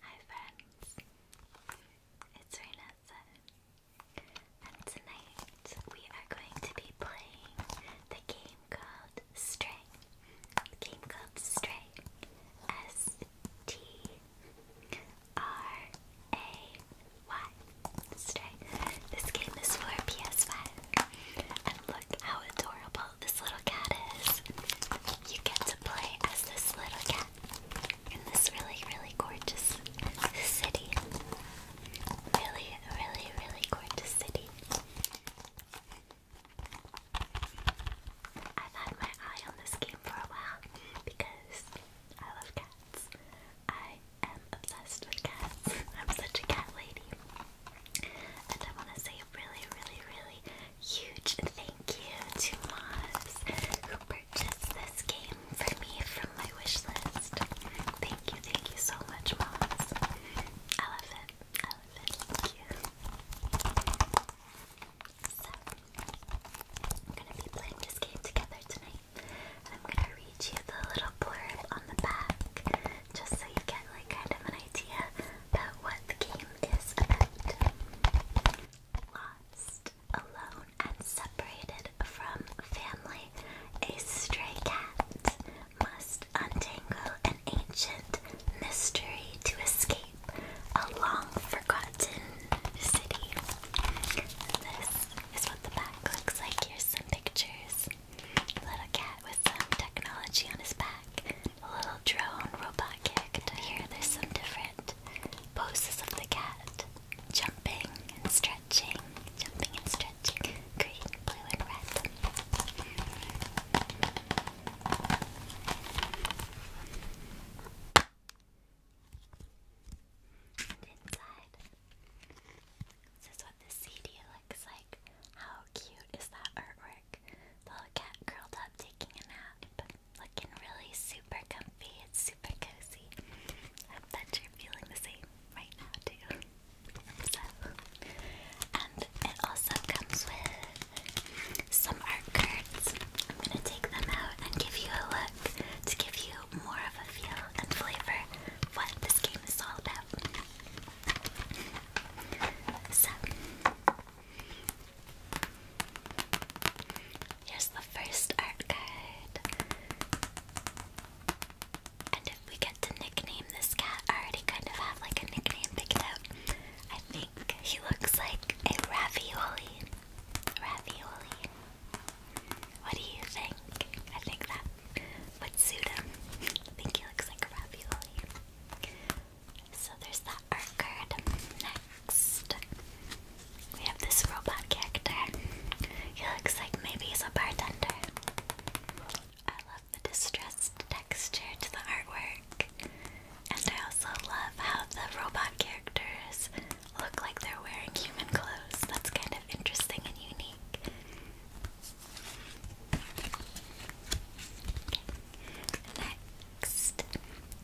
Hi friends, it's Renessa, and tonight we are going to be playing the game called Stray. game called Stray, S T R A This game is for PS5. And look how adorable this little cat is. You get to play as this little cat in this really, really gorgeous city. Really, really, really gorgeous city. I've had my eye on this game for a while because I love cats. I am obsessed with cats. I'm such a cat lady. And I want to say really, really, really huge thank you to Moss who purchased this game for me from my wish list. Thank you, thank you so much, Moss. I love it. I love it. Thank you. So, we're going to be playing this game together tonight. I'm going to read you the little blurb on the back just so you get like kind of an idea about what the game is about. Lost, alone, and separated from family, a stray cat must untangle an ancient mystery to escape a long forgotten city. This is what the back looks like. Here's some pictures. A little cat with some technology on his back. A little drone robot kicked. Here there's some different poses of the cat. Jumping and stretching. Jumping and stretching. Green, blue, and red. And inside, this is what the CD looks like. How cute is that artwork? The little cat curled up taking a nap, looking really super comfy. It's super cozy. I hope that you're feeling the same right now too. So, and it also comes with some art cards. I'm gonna take them out and give you a look to give you more of a feel and flavor what this game is all about. So, here's the first art card. And if we get to nickname this cat, already kind of have like a nickname picked out. I think he looks like a ravioli. Ravioli. What do you think? I think that would suit him. I think he looks like a ravioli. So there's that card. Next, we have this robot character. He looks like maybe he's a bartender. I love the distressed texture to the artwork. And I also love how the robot characters look like they're wearing human clothes. That's kind of interesting and unique. Next,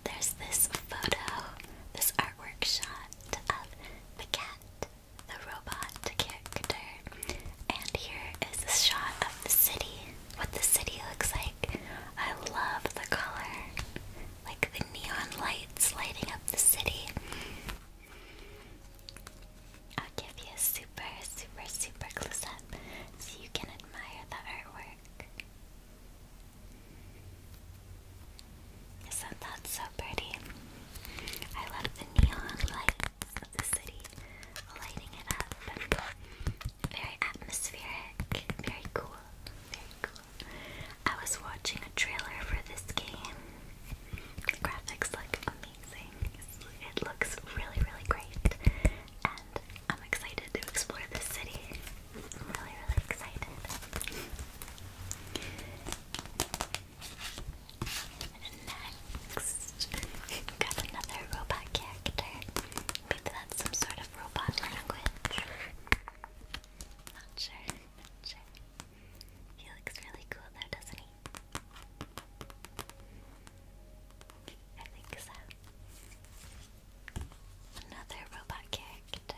there's this photo, this artwork shot of the cat, the robot character, and here is a shot of the city, what the city looks like. I love the color, like the neon lights lighting up the city. I'll give you a super, super, super close up so you can admire the artwork. Isn't that so pretty? I love the neon lights of the city lighting it up. Very atmospheric, very cool, very cool. I was watching a trailer for this game. The graphics look amazing. It looks really, really great. And I'm excited to explore this city. really, really excited. And next, got another robot character. Maybe that's some sort of robot language. Not sure, not sure. He looks really cool there, doesn't he? I think so. Another robot character.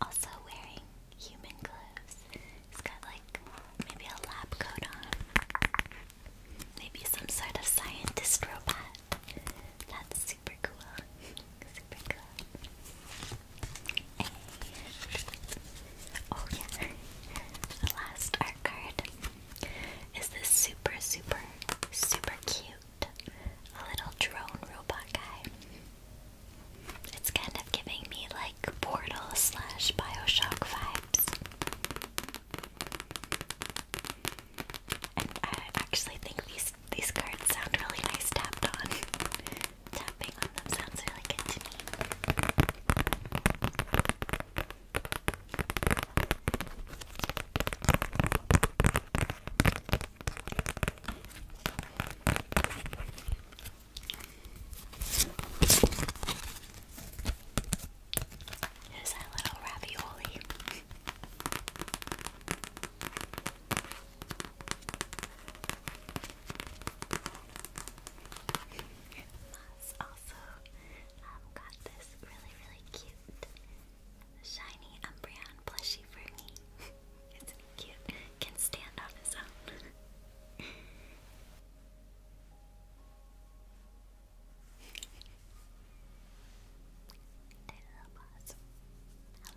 Also wearing human gloves. He's got like maybe a lab coat on. Maybe some sort of scientist robot. That's super cool. super cool oh yeah, the last art card is this super, super, super cute little drone robot guy. It's kind of giving me like Portal slash Bioshock vibes. And I actually think these these cards sound really nice tapped on. Tapping on them sounds really good to me. Here's our little ravioli. Moss also got this really, really cute shiny Umbreon plushie for me. it's cute. Can stand on its own. Hello, boss. Hello.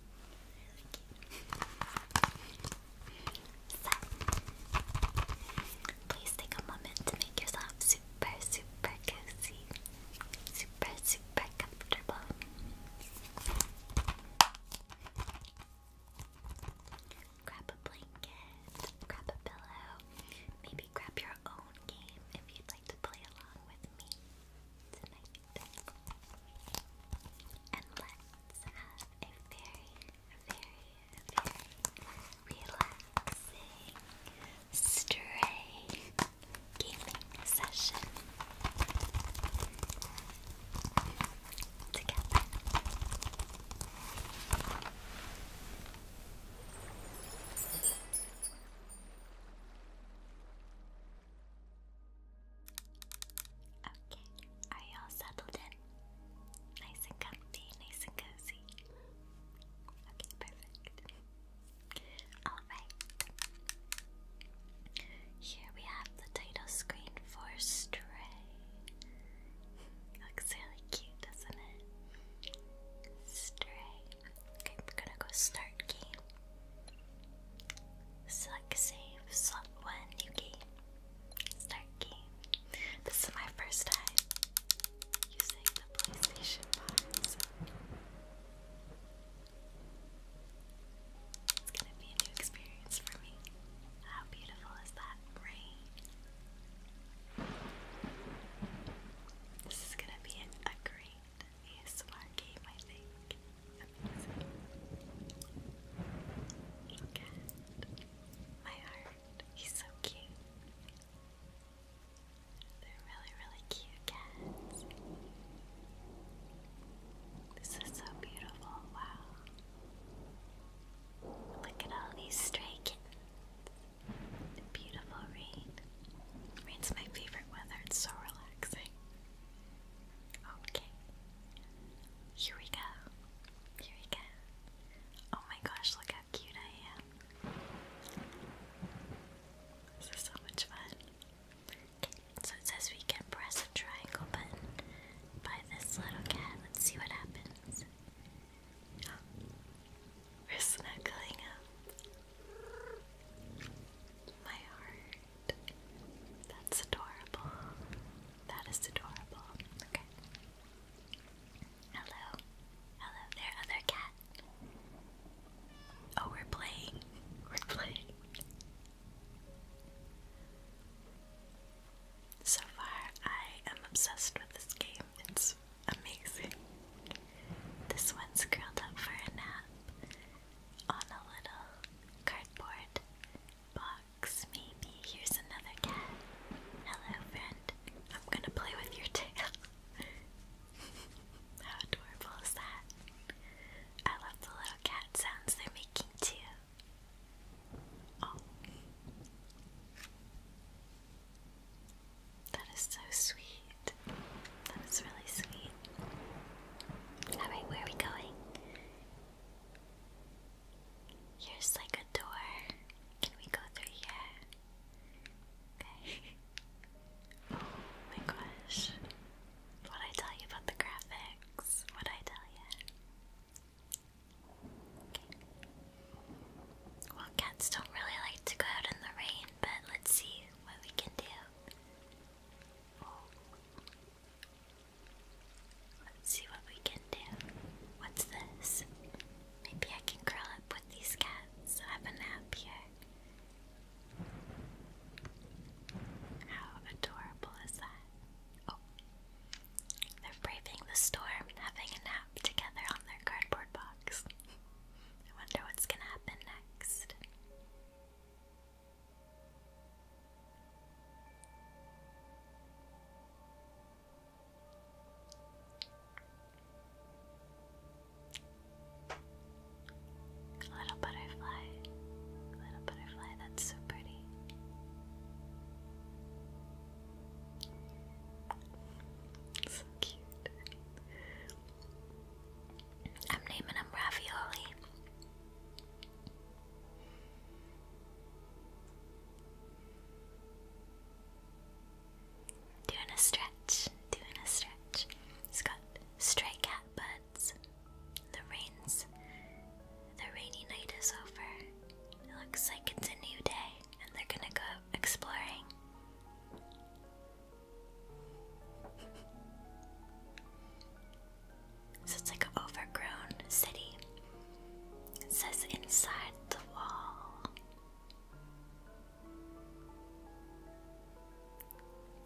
So, please take a moment to make yourself super, super cozy, super, super comfortable. Grab a blanket, grab a pillow, maybe grab your own game if you'd like to play along with me tonight. And let's a very, very, very relaxing, straight session together. Okay, are you all settled in? Nice and comfy, nice and cozy. Okay, perfect. Alright. Here we have the title screen for Stray. Looks really cute, doesn't it? Stray. Okay, we're gonna go start game. Select save, slot one, new game. Start game. This is my first time using the PlayStation box. It's gonna be a new experience for me. How beautiful is that rain? This is gonna be a great ASMR game, I think. Look at my heart. He's so cute. They're really, really cute cats. This is so beautiful. Wow. Look at all these stray kittens. beautiful rain. Rain's my favorite weather. It's so relaxing. Okay. Here we go. Here we go. Oh my gosh, look how cute I am. This is so much fun. Okay, so it says we can press a triangle button by this little cat. Let's see what happens. We're snuggling up. My heart. That's adorable. That is adorable. Okay. Hello. Hello there, other cat. Oh, we're playing. We're playing. So far, I am obsessed with this game. It's amazing. This one's curled up for a nap on a little cardboard box, maybe. Here's another cat. Hello, friend. I'm gonna play with your tail. How adorable is that? I love the little cat sounds they're making too. Oh. That is so sweet. That is really sweet. Alright, where are we going? Here's like a door. Can we go through here? Okay. oh my gosh. What I tell you about the graphics? What I tell you? Okay. Well, cats don't really like to go out in the rain, but let's see what we can do. Let's see what we can do. What's this? Maybe I can curl up with these cats, have a nap here. How adorable is that? Oh. They're braving the storm, having a nap together on their cardboard box. I wonder what's gonna happen next. Little butterfly, little butterfly, that's so pretty. So cute. I'm naming him Ravioli. Doing a stretch, doing a stretch. It's got stray cat buds. The rains, the rainy night is over. It looks like it's a new day, and they're gonna go exploring. So it's like an overgrown city. It says inside the wall.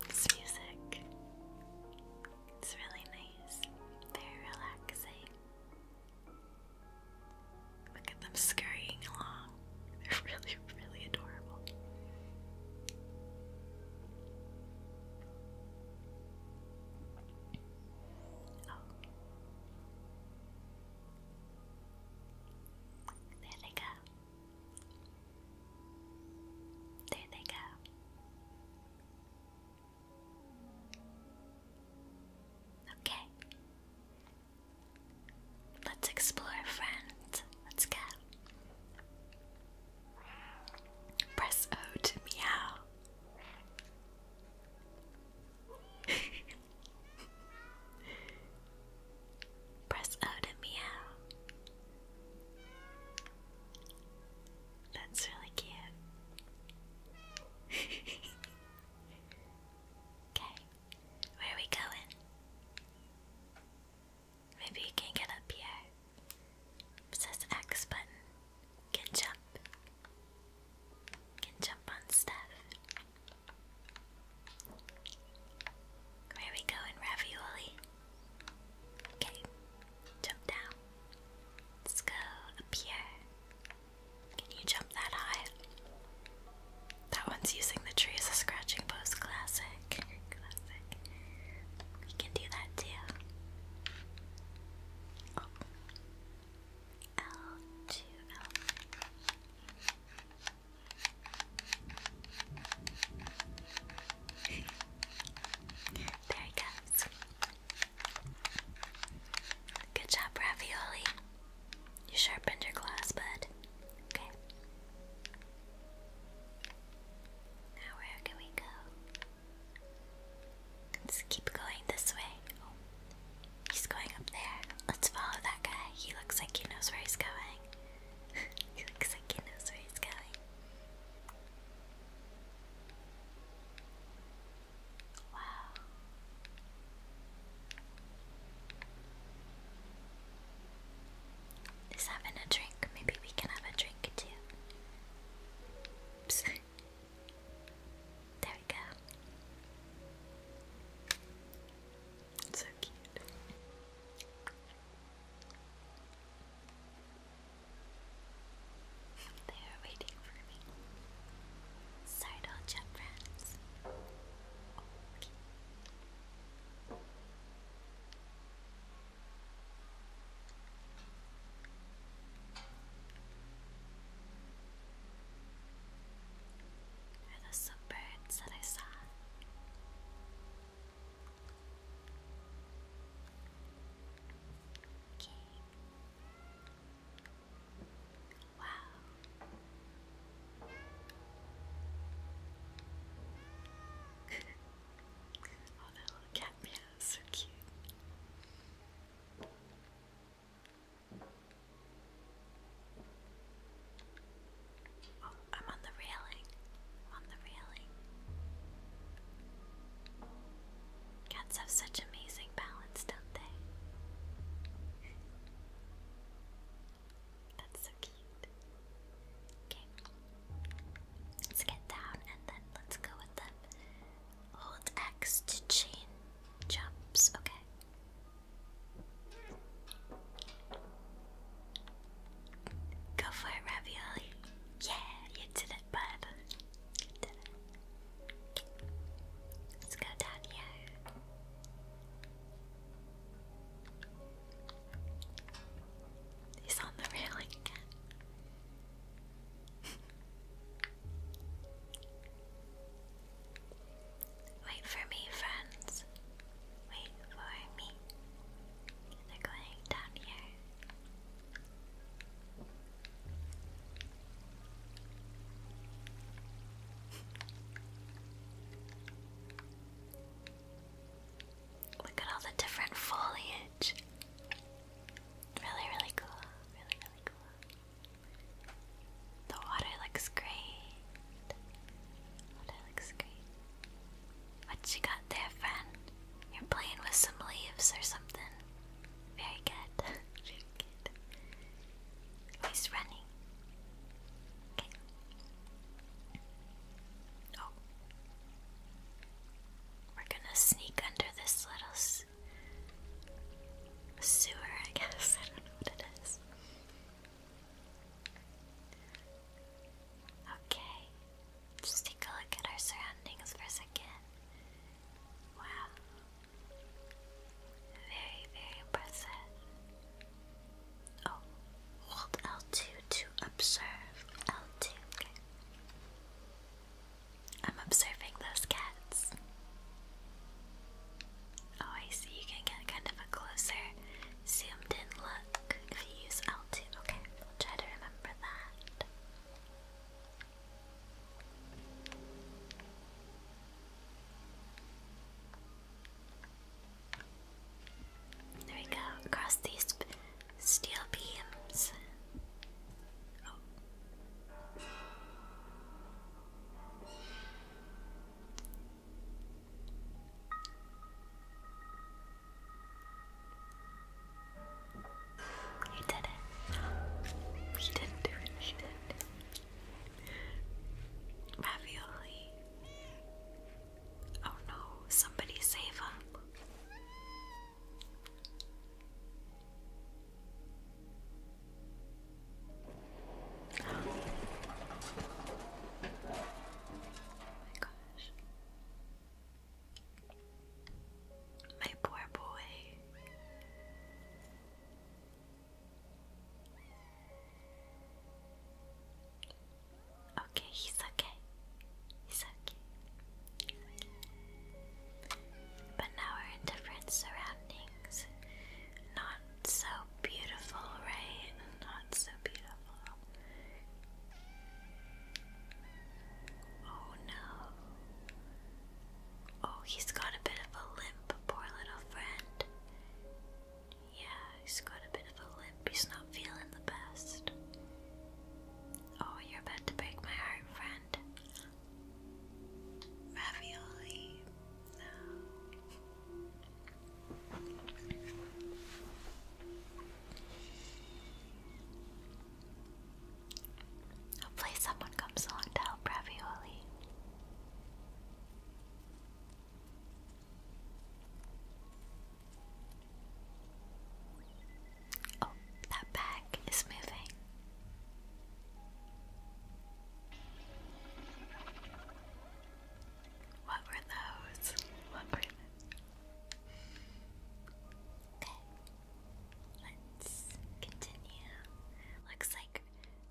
This music. It's really nice. Very relaxing. Look at them scurrying along. They're really, really adorable. There they go. There they go. Okay. Let's explore, friend. Let's go. Press O to meow. Press O to meow. That's really cute. okay, where are we going? Maybe we can get up here. It X button. Can jump. Can jump on stuff. Where are we going, ravioli? Okay. Jump down. Let's go up here. Can you jump that high? That one's using the tree as a scratching post. Classic. Classic. We can do that too. Oh, there it goes. Good job, Ravioli. You sharpened your glass, bud. Okay. Now, where can we go? Let's keep going this way. he's going up there. Let's follow that guy. He looks like he knows where he's going. he looks like he knows where he's going. Wow. He's having a drink. Maybe we can have a drink too. There we go. So cute. They are waiting for me. Sorry to all chat friends. Okay. Are those some birds that I saw? Wow. oh, that little cat so cute. Oh, I'm on the railing. I'm on the railing. Cats have such amazing balance, don't they? That's so cute. Okay. Let's get down and then let's go with the Hold X to chain jumps. Okay. Go for it, Ravioli. Yeah, you did it, bud. Let's go down He's on the railing Wait for me, friends. Wait for me. They're going down here. Look at all the different foliage. Really, really cool. Really, really the water looks great. Water looks great. What you got there, friend? You're playing with some leaves or something. Very good. Very good. He's running. Okay. Oh. We're gonna sneak under this little this sewer, I guess. I don't know what it is. Okay, just take a look at our surroundings for a second. Wow. Very, very impressive. Oh, hold L2 to observe. L2, okay. I'm observing those cats. Oh, I see. You can get kind of a closer, zoomed in look if you use l Okay, I'll try to remember that. There we go. Across these steel beams. Oh. He did it. He didn't do it. He did. Ravioli. Oh no, somebody save him. Oh my poor boy. Okay, he's okay. He's okay. But now we're in different surroundings. Not so beautiful, right? Not so beautiful. Oh no. Oh, he's got a bit of a limp, poor little friend. Yeah, he's got a bit of a limp. He's not feeling the best. Oh, you're about to break my heart, friend. Ravioli. No. someone comes along to help Ravioli. Oh, that bag is moving. What were those? Okay. Let's continue. Looks like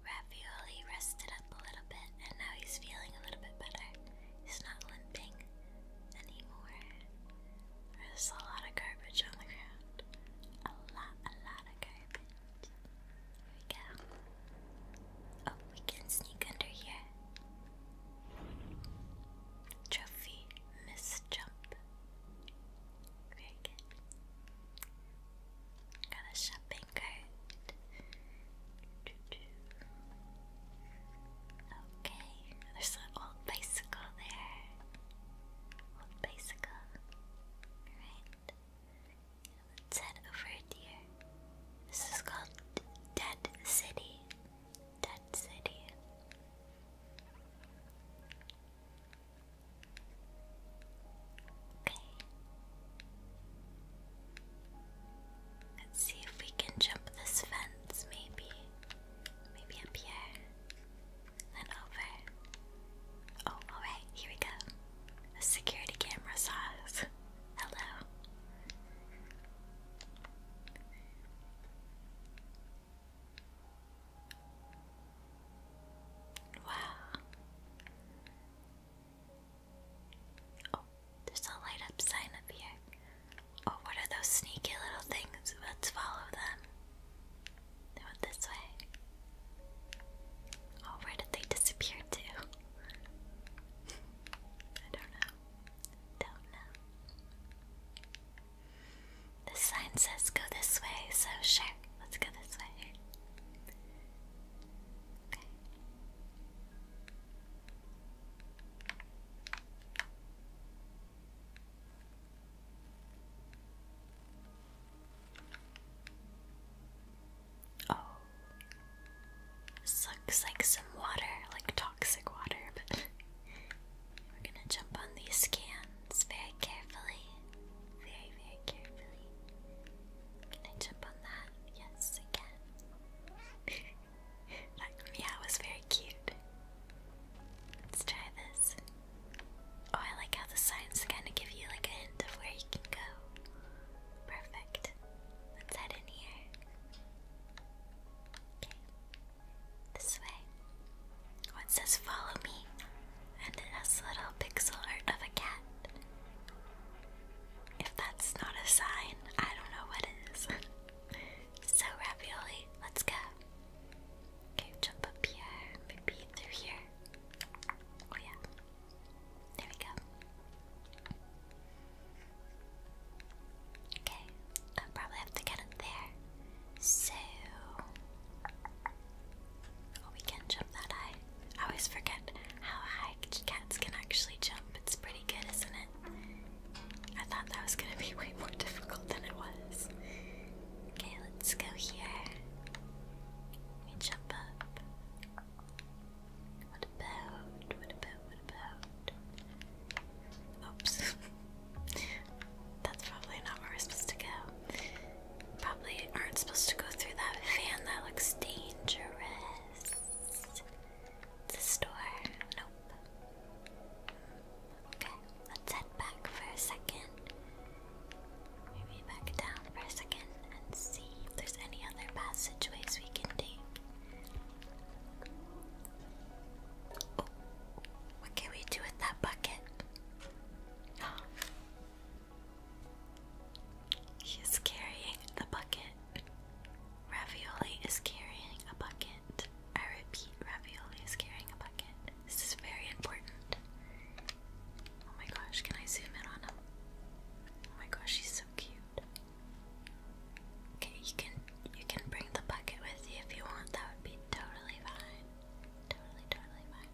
Ravioli rested up a little bit and now he's feeling a little bit better. He's not limping anymore. There's a lot of garbage on the ground. A lot, a lot of garbage. Here we go. Oh, we can sneak under here. Trophy miss jump. Very good. Got a shopping cart. Okay, there's an old bicycle there. Old bicycle. Alright. Let's head over here. This is called Dead City. Dead City. Okay. Let's see if we can jump this fence, maybe. Maybe up here and over. Oh, alright, here we go. A security camera saw Hello. Wow. Oh, there's a light up sign up here. Oh, what are those sneaky little things? Let's follow them. They this way. Oh, where did they disappear to? I don't know. Don't know. The sign says go this way, so sure, let's go this way. Oh. This looks like some water, like toxic water, but we're gonna jump on these cans very carefully. Very, very carefully. Can I jump on that? Yes, I can. that meow was very cute. Let's try this. Oh, I like how the signs kind of give you like a hint of where you can go. Perfect. Let's head in here. Okay. This way. Oh, it says follow me. And it has little pixel art of a cat. If that's not a sign, I don't know what is. so, Ravioli, let's go. Okay, jump up here, maybe through here. Oh, yeah. There we go. Okay, i probably have to get it there. So. Oh, we can jump that high. I always forget how high cats can actually jump. It's pretty good, isn't it? I thought that was gonna be way more difficult than it was. Okay, let's go here. Let me jump up. What about? What about? What about? Oops. That's probably not where we're supposed to go. Probably aren't supposed to go through that fan. That looks dangerous. It's store. Nope. Mm, okay. Let's head back for a second. Maybe back down for a second and see if there's any other passageways we can take. Oh, what can we do with that bucket? He carrying the bucket. Ravioli is carrying a bucket. I repeat, Ravioli is carrying a bucket. This is very important. Oh my gosh, can I zoom in on him? Oh my gosh, he's so cute. Okay, you can you can bring the bucket with you if you want. That would be totally fine. Totally, totally fine.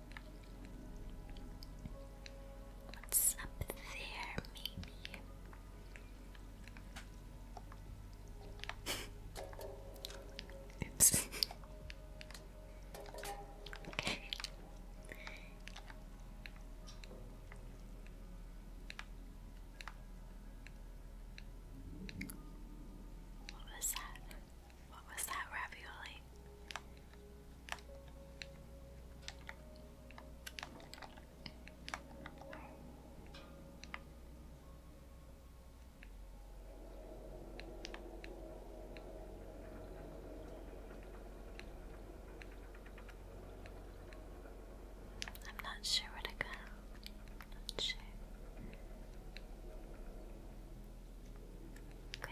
What's up there, maybe? Oops. What was that? What was that ravioli? I'm not sure where to go. Not sure. Okay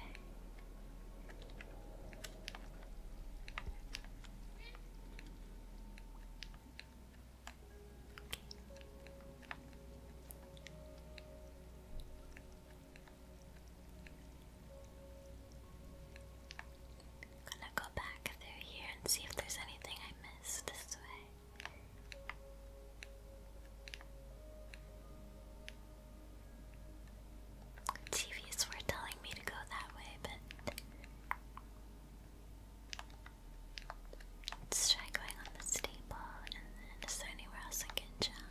gonna go back through here and see if there's anything I missed this way. TVs were telling me to go that way, but let's try going on the steeple and then anywhere else I can jump?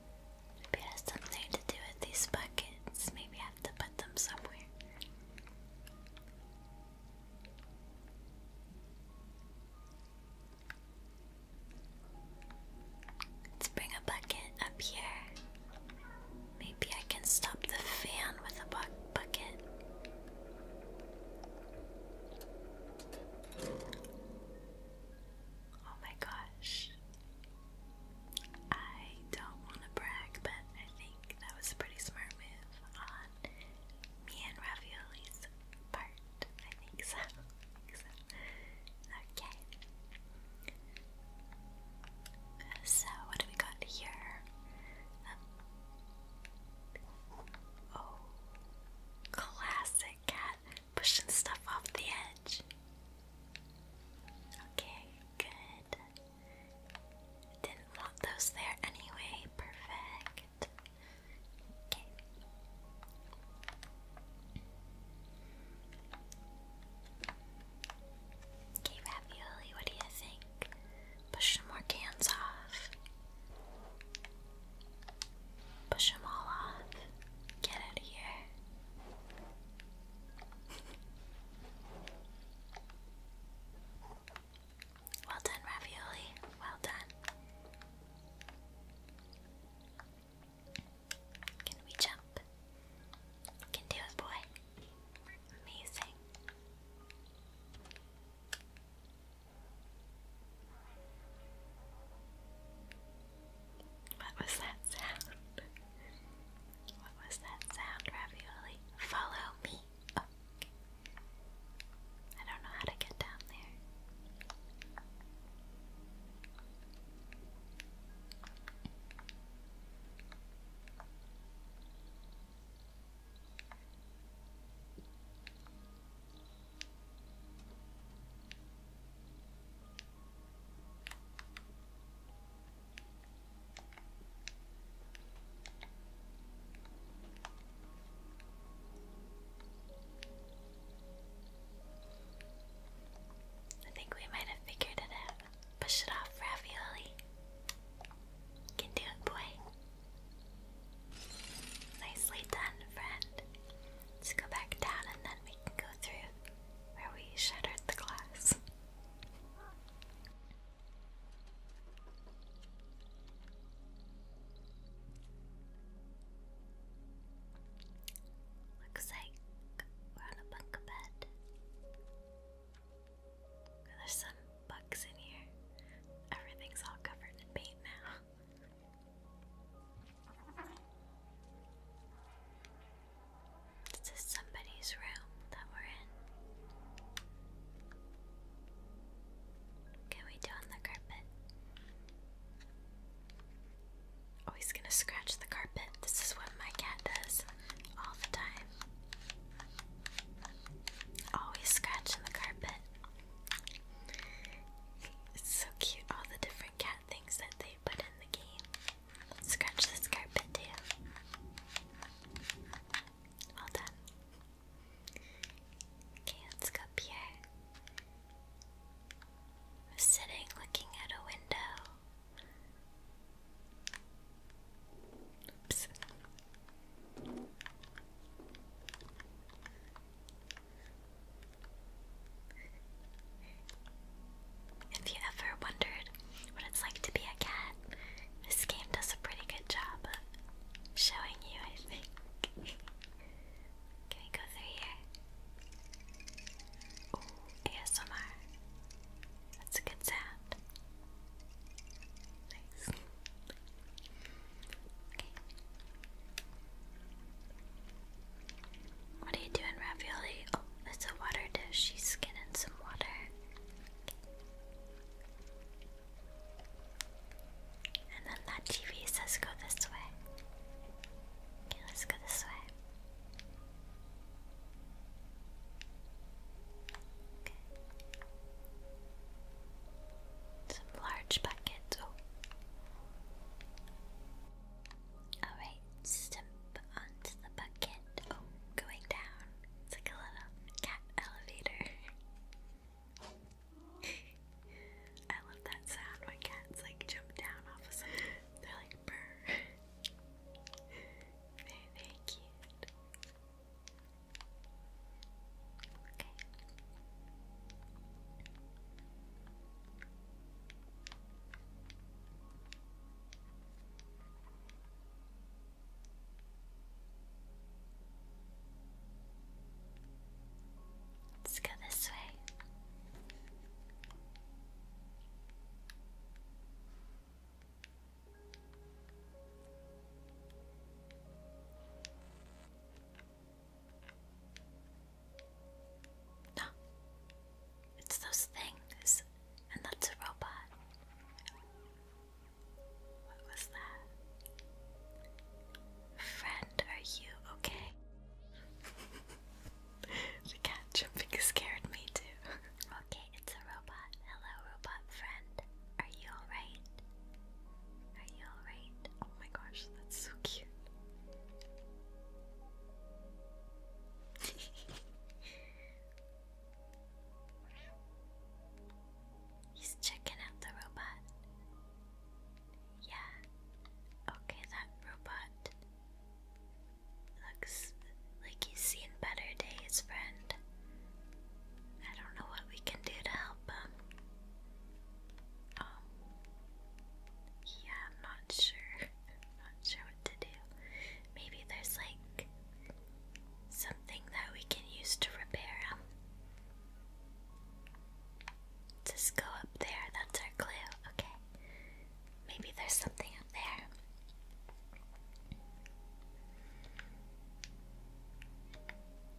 Maybe has something to do with these buckets. Maybe I have to put them somewhere. Let's bring a bucket up here. Maybe I can stop the fan with a bucket. Oh my gosh. I don't want to brag, but I think that was a pretty smart move on me and Ravioli's part. I think so. Okay. So, what do we got here? Um, oh, classic cat pushing stuff off the edge. Okay, good. Didn't want those there anyway. Perfect. Okay. Okay, Ravioli, what do you think? Push some more cans off. Push them all off. Get out of here. Well done, ravioli. Well done. Can we jump? Can do it, boy. Amazing. What was that sound? What was that sound, Ravioli? Follow me. I don't know how to get down there. I think we might have figured it out. Push it off, ravioli. Can do boy. Nicely done, friend. Let's go back down and then we can go through where we shattered the glass. Looks like we're on a bunk bed. There's some bugs in here. Everything's all covered in paint now. This is somebody's room that we're in. Can we do on the carpet? Oh, he's gonna scratch the carpet. This is what my cat does all the time. Always scratching the carpet. It's so cute, all the different cat things that they put in the game. Scratch this carpet too. Well done. Okay, let's here. I'm sitting looking at a window. If you ever wondered what it's like to be a cat, this game does a pretty good job of showing you, I think. Can we go through here? ASMR. That's a good sound. Nice. Okay. What are you doing, ravioli? Oh, it's a water dish. She's skinning some water. And then that TV says go this way. Okay, let's go this way. Some large buckets. Oh. Alright step onto the bucket. Oh, going down. It's like a little cat elevator. I love that sound when cats like jump down off of something. They're like brr. very, very cute. Okay. Let's go this way. No. It's those things. And that's a robot. What was that? Friend, are you okay? the cat jumping scared me too. okay, it's a robot. Hello, robot friend. Are you alright? Are you alright? Oh my gosh, that's so cute. He's checking out the robot. Yeah. Okay, that robot looks like he's seen better days, friend. I don't know what we can do to help him. Um, yeah, I'm not sure. not sure to do. Maybe there's like something that we can use to repair him. Just go up there, that's our clue. Okay. Maybe there's something up there.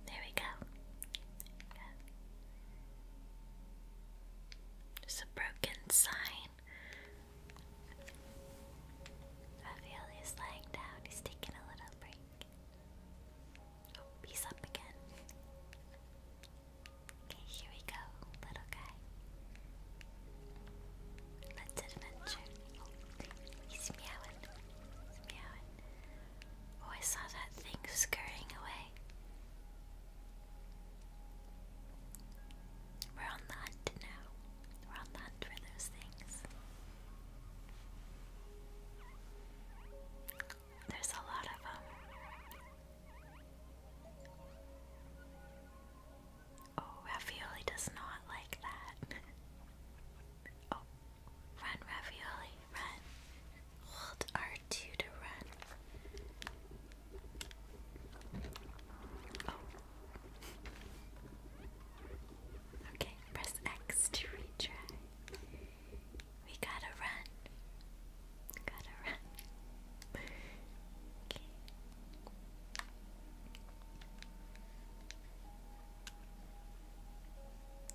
There we go. There we go. There's a broken sign. Raphael is lying down, he's taking a little break. Oh, he's up again. Okay, here we go, little guy. Let's adventure. Oh, he's meowing. He's meowing. Oh, I saw that thing scurrying away. We're on the now. We're on the for those things. There's a lot of them. Um, oh, Ravioli does not like that. oh, run, Ravioli, run. Hold R2 to run. Oh. Okay, press X to retry. We gotta run. Gotta run.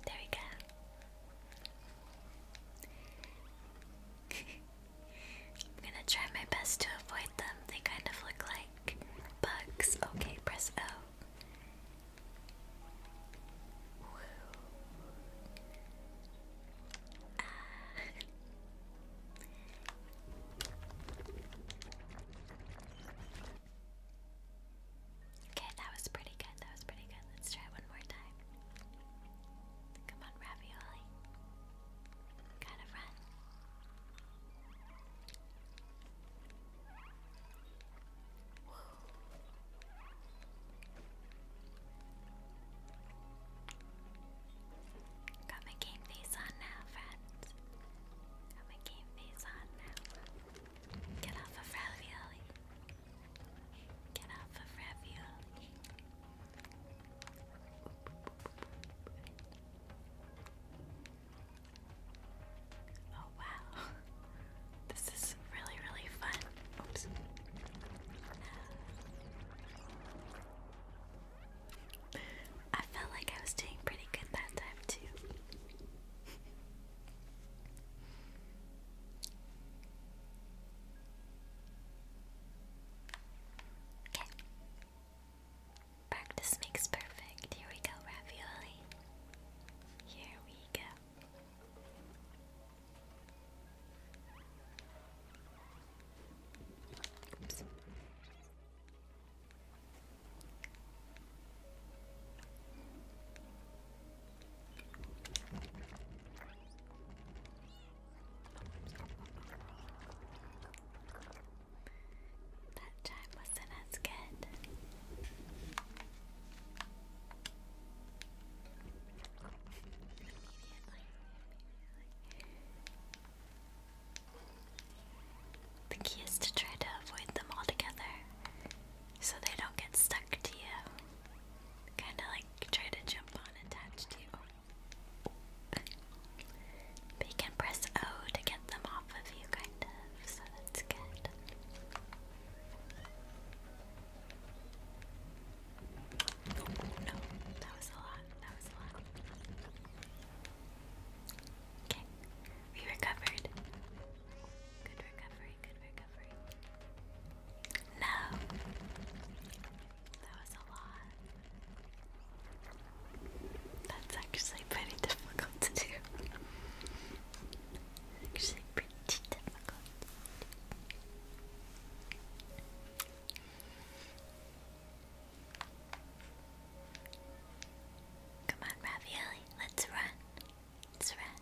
There we go. I'm gonna try my best to avoid them. They kind of look like bugs. Okay, press O. Okay, that was pretty good. That was pretty good. Let's try one more time. Come on, ravioli. Gotta my game face on now, friends. Got my game face on now. Get off of ravioli. Get off of ravioli. Oh, wow. This is really, really fun. Oops. I felt like I was doing pretty good that time, too. Okay. Practice makes perfect. Here we go, ravioli. Here we go. That time wasn't as good. The key is to try to avoid them all together so they don't get stuck to you. Kind of like try to jump on and touch to you. But you can press O to get them off of you, kind of, so that's good. no, that was a lot. That was a lot. Okay, we recovered. Good recovery, good recovery. No. That was a lot. That's actually pretty difficult to do. Actually, pretty difficult. Come on, Ravioli, let's run. Let's run.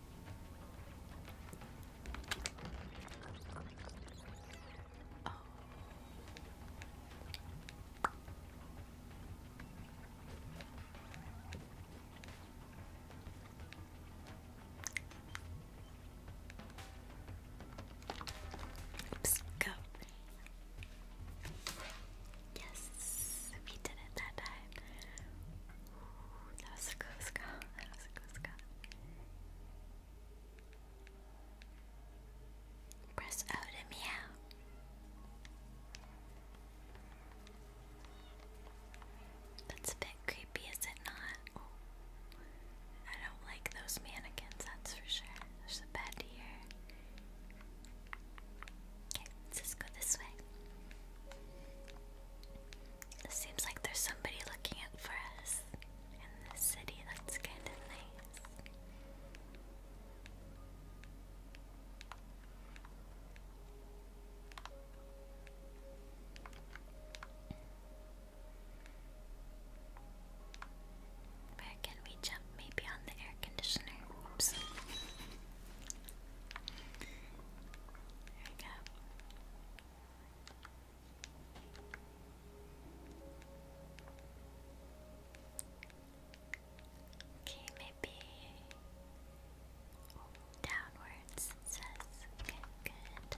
Oh. Oops, go. Yes, we did it that time. that was a close call. That was a close call. Press O to That's a bit creepy, is it not? I don't like those mannequins, that's for sure. There's a bed here. Okay, let's just go this way. It seems like there's somebody looking out for us in the city. That's kind of nice. Where can we jump? Maybe on the air conditioner. There we Okay, maybe downwards Okay, good.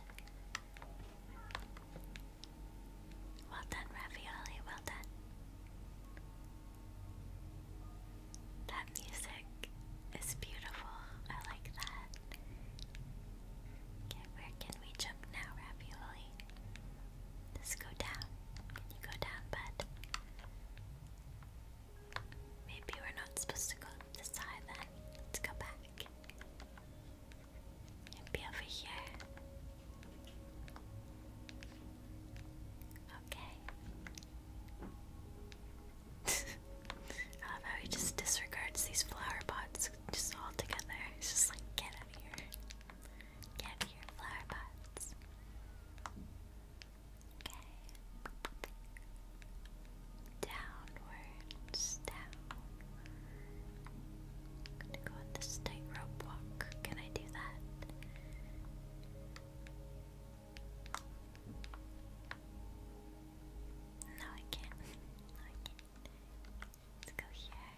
Well done, Ravioli, well done. That music is beautiful. I like that. Okay, where can we jump now, Ravioli? Let's go down. you go down, bud? Maybe we're not supposed to go up the side then. Let's go back. Maybe over here. Okay. I love how he just disregards these flower pots just all together. He's just like, get out of here. Get out flower pots. Okay. Downwards, down. gonna go on this tightrope walk. Can I do that? No, I can't. No, I can't. Let's go here.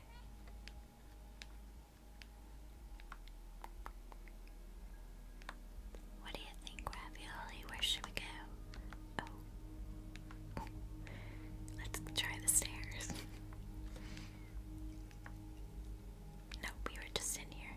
What do you think, Ravioli? Where should we go? Oh. Let's try the stairs. nope, we were just in here.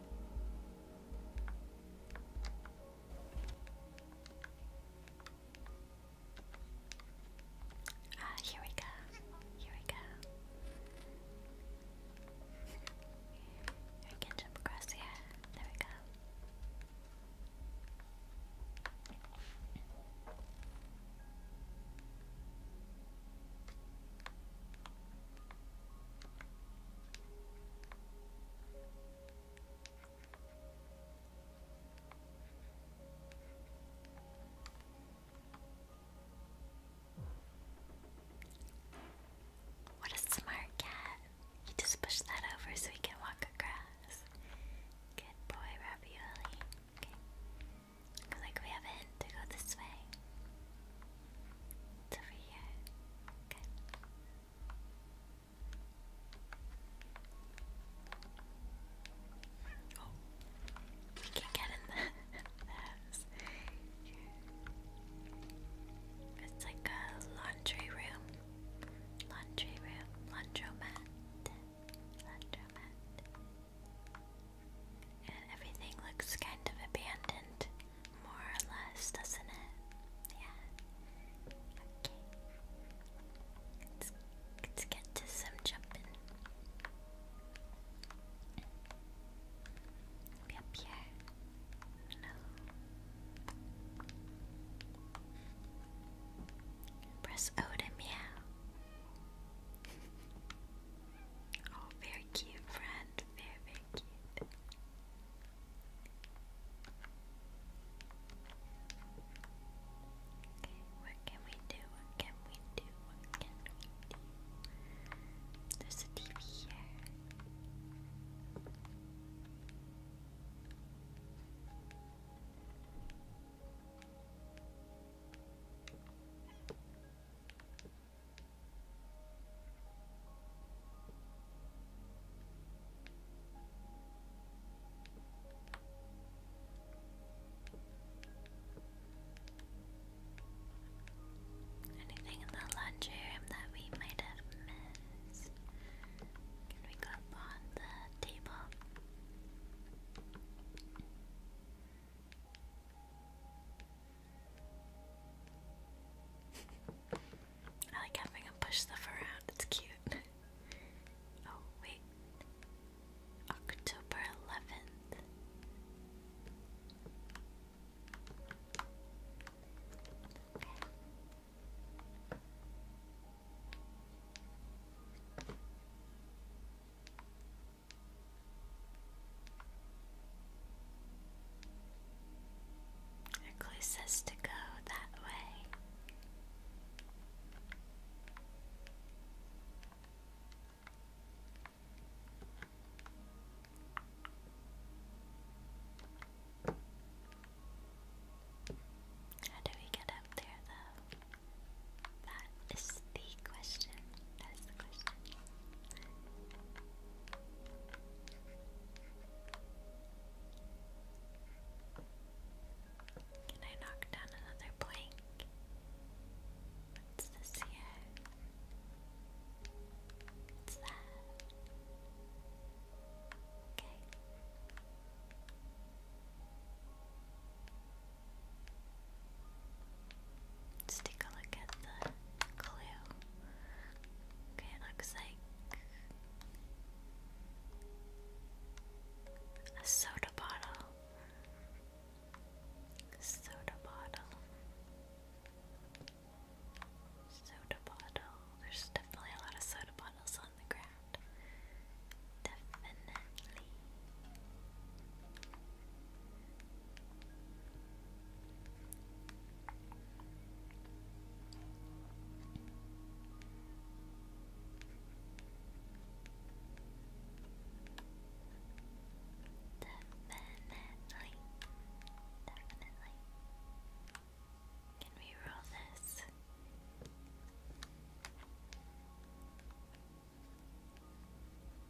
Ah, here we go. Here we go. I can jump across here. There we go. What a smart cat. You just push that over so he can walk across. Good boy, Ravioli. like we have to go this way. It's we can get in the, It's like a laundry room. Laundry room. Laundromat. Laundromat. And everything looks kind of abandoned, more or less, doesn't it? Yeah. Okay. Let's, get to some jumping. No. Press O to meow. Oh, very cute friend. very cute. Okay, what can we do? What can we do? What can we do? There's a TV here. Anything in the lunchroom that we might have missed? Can we go on the table? I like having him push stuff around, it's cute. oh, wait. October 11th. Our clue says to go that way. How do we get up there though? That is the question. That is the question. Can I knock down another plank? What's this here? What's that? Okay take a look at the clue. Okay, it looks like a soda bottle. Soda bottle. Soda bottle. There's definitely a lot of soda bottles on the ground. Definitely. Definitely, definitely. Can we roll this?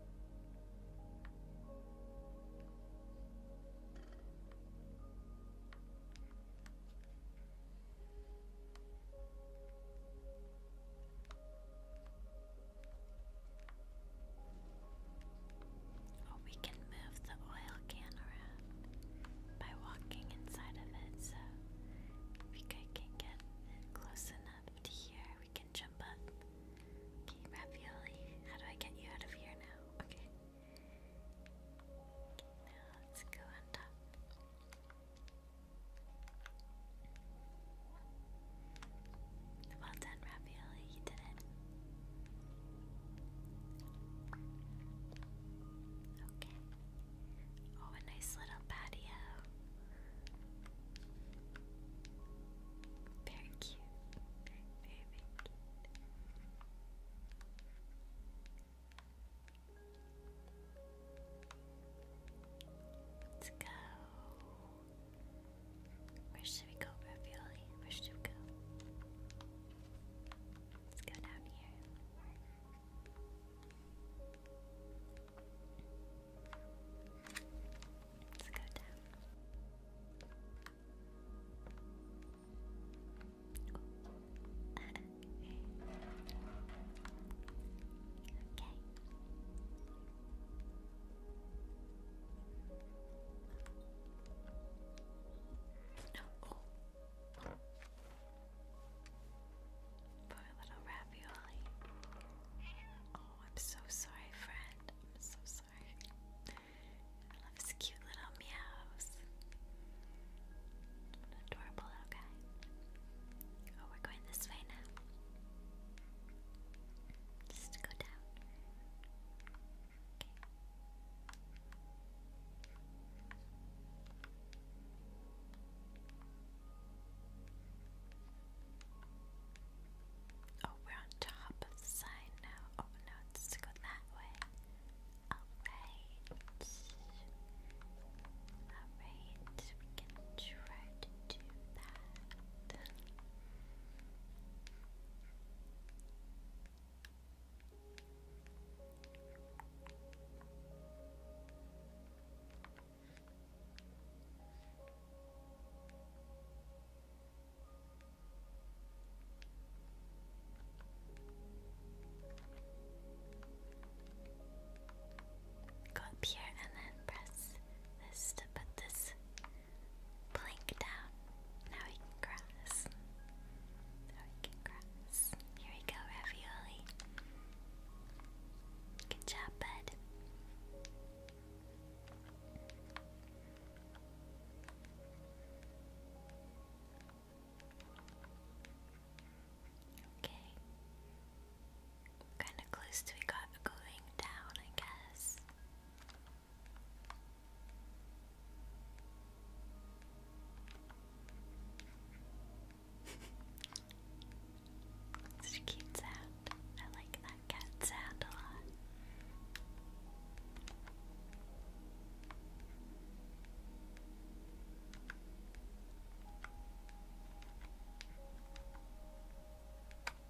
Oh, we can move the oil can around by walking inside of it, so if we can get close enough to here, we can jump up Okay, Ravioli, how do I get you out of here now? Okay. now let's go on top. Well done, Ravioli, you did it. Okay. Oh, a nice little patio. Very cute. Very, very, cute. Let's go. Where should we go, Ravioli? Where should we go? Let's go down here. Let's go down. Oh. okay. Oh. Poor little ravioli. Oh, I'm so sorry, friend friend. I'm so sorry. I love his cute little meows. What an adorable little guy. Oh, we're going this way now. Just to go down. Okay. Okay, Oh, we're on top of the sign now. Oh no, it's to go that way. Alright. Alright, we can try to do that. Go up here and then press this to put this plank down. Now we can cross. Now we can cross. Here we go, Ravioli. Good job, bud. Okay. Kinda close to we got going down, I guess. Such a cute I like that cat sound a lot.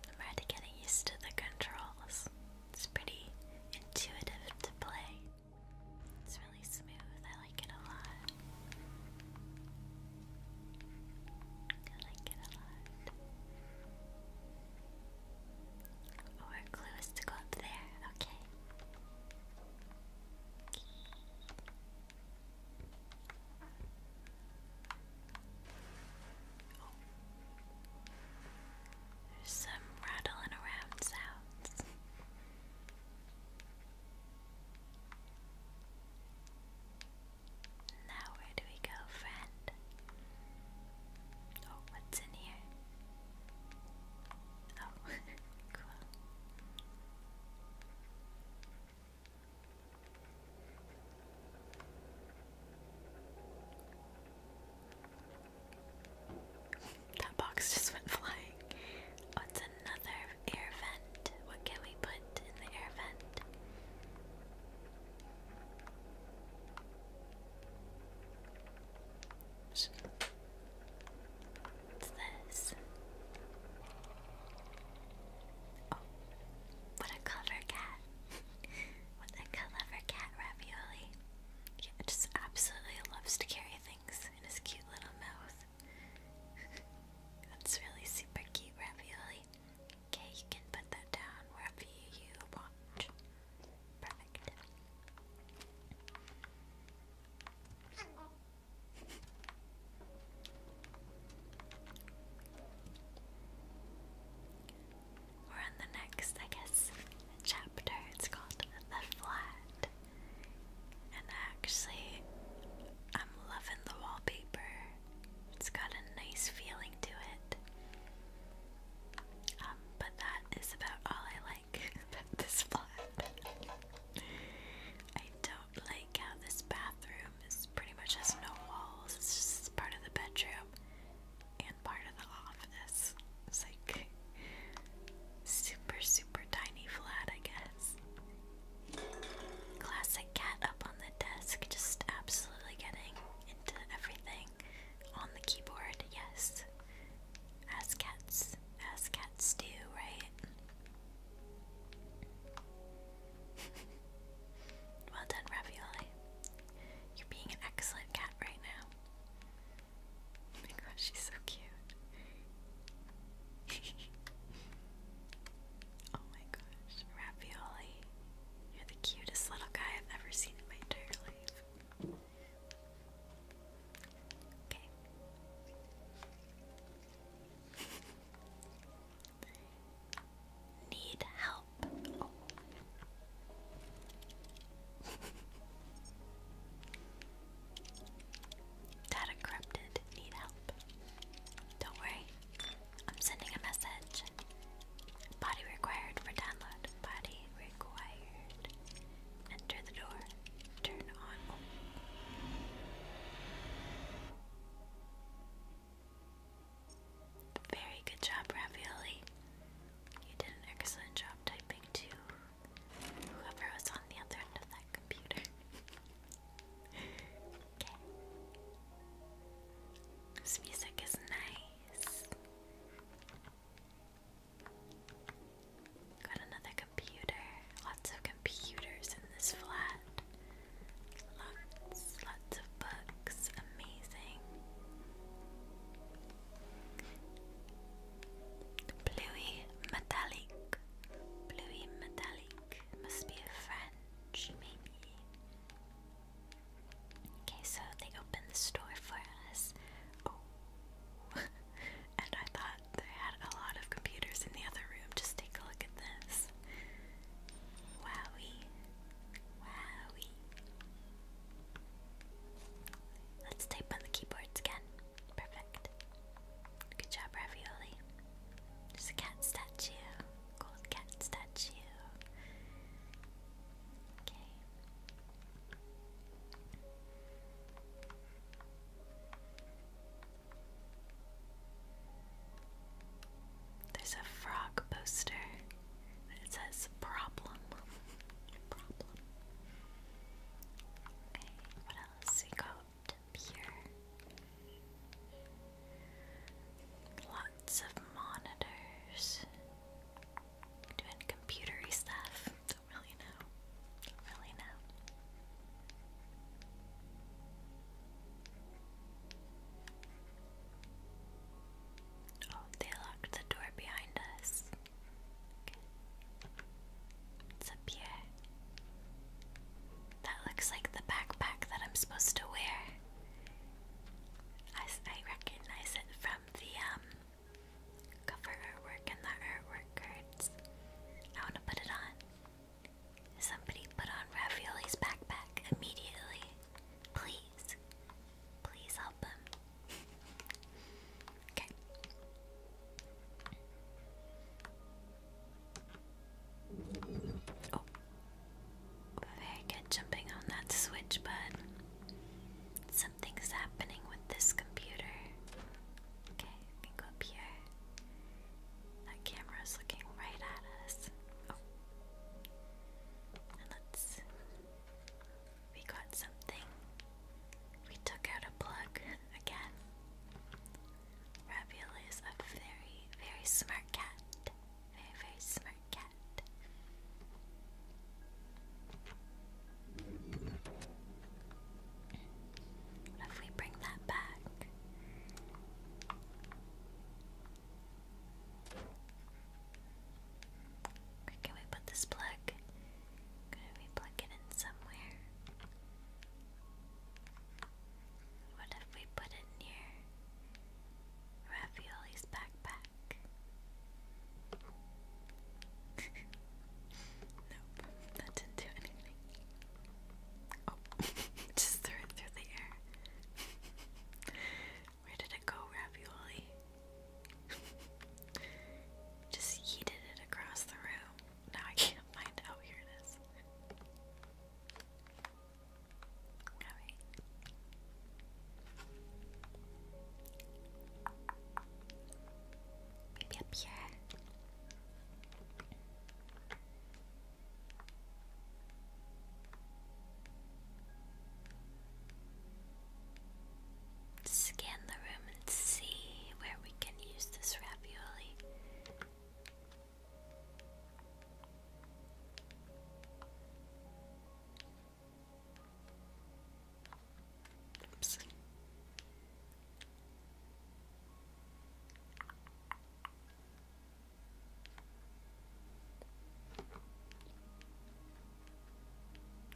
I'm already getting used to the controls. It's pretty intuitive to play. It's really smooth. I like it a lot. I like it a lot. Or oh, clue is to go up there, okay. Oh. There's some rattling around sounds. Now, where do we go, friend? Oh, what's in here? Oh, that box just went flying. Oh, another air vent. What can we put in the air vent? What's this? Oh, what a clever cat! what a clever cat, Ravioli. Yeah, it just absolutely loves to carry things in his cute little mouth. That's really super cute, Ravioli. Okay, you can put that down wherever you want. Perfect. We're on the next, I guess, chapter. It's called The Flat. And actually, I'm loving the wallpaper. It's got a nice feeling to it. Um, but that is about all I like about this flat. I don't like how this bathroom is pretty much has no walls. It's just part of the bedroom and part of the office. It's like super, super tiny flat, I guess. Classic cat up on the desk, just absolutely getting into everything on the keyboard, yes. As cats, as cats do, right? well done, Ravioli. You're being an excellent cat right now. Oh my gosh, she's so cute. oh my gosh, Ravioli. You're the cutest little guy I've ever seen in my entire life. Okay. Need help. Data corrupted. Need help. Don't worry, I'm sending a message. Body required for download. Body required. Enter the door. Turn on. Very good job, Ravioli. You did an excellent job typing to whoever was on the other end of that computer. This music is nice. Got another computer. Lots of computers in this flat. Lots, lots of books. Amazing. Bluey metallic. Bluey metallic. Must be a French, maybe. Okay, so they opened the store for us. Oh. and I thought they had a lot of computers in the other room. Just take a look at this. Wowie. Wowie. Let's type on the keyboards again. Perfect. Good job, Ravioli. There's a cat statue gold cat statue. Okay. There's a frog poster that says problem. problem. Okay, what else we got here? lots of monitors, doing computery stuff. Don't really know. Don't really know. Oh, they locked the door behind us. Okay. What's up That looks like the backpack that I'm supposed to wear. I, I recognize it from the um, cover artwork and the artwork cards. I want to put it on. Somebody put on Ravioli's backpack immediately. Please. Please help him. okay. Oh. Very good jumping on that switch, bud. Something's happening with this computer. Okay, I can go up here. That camera is looking right at us. Oh. let's. We got something. We took out a plug again. Ravioli is a very, very smart cat. Very, very smart cat. What if we bring that back? can we put this plug? Could we plug it in somewhere? What if we put it near Ravioli's backpack? nope, that didn't do anything. Oh, just threw it through the air. Where did it go, ravioli? just yeeted it across the room. Now I can't find out. Here it is. Maybe up here. Scan the room and see where we can use this ravioli. Oops.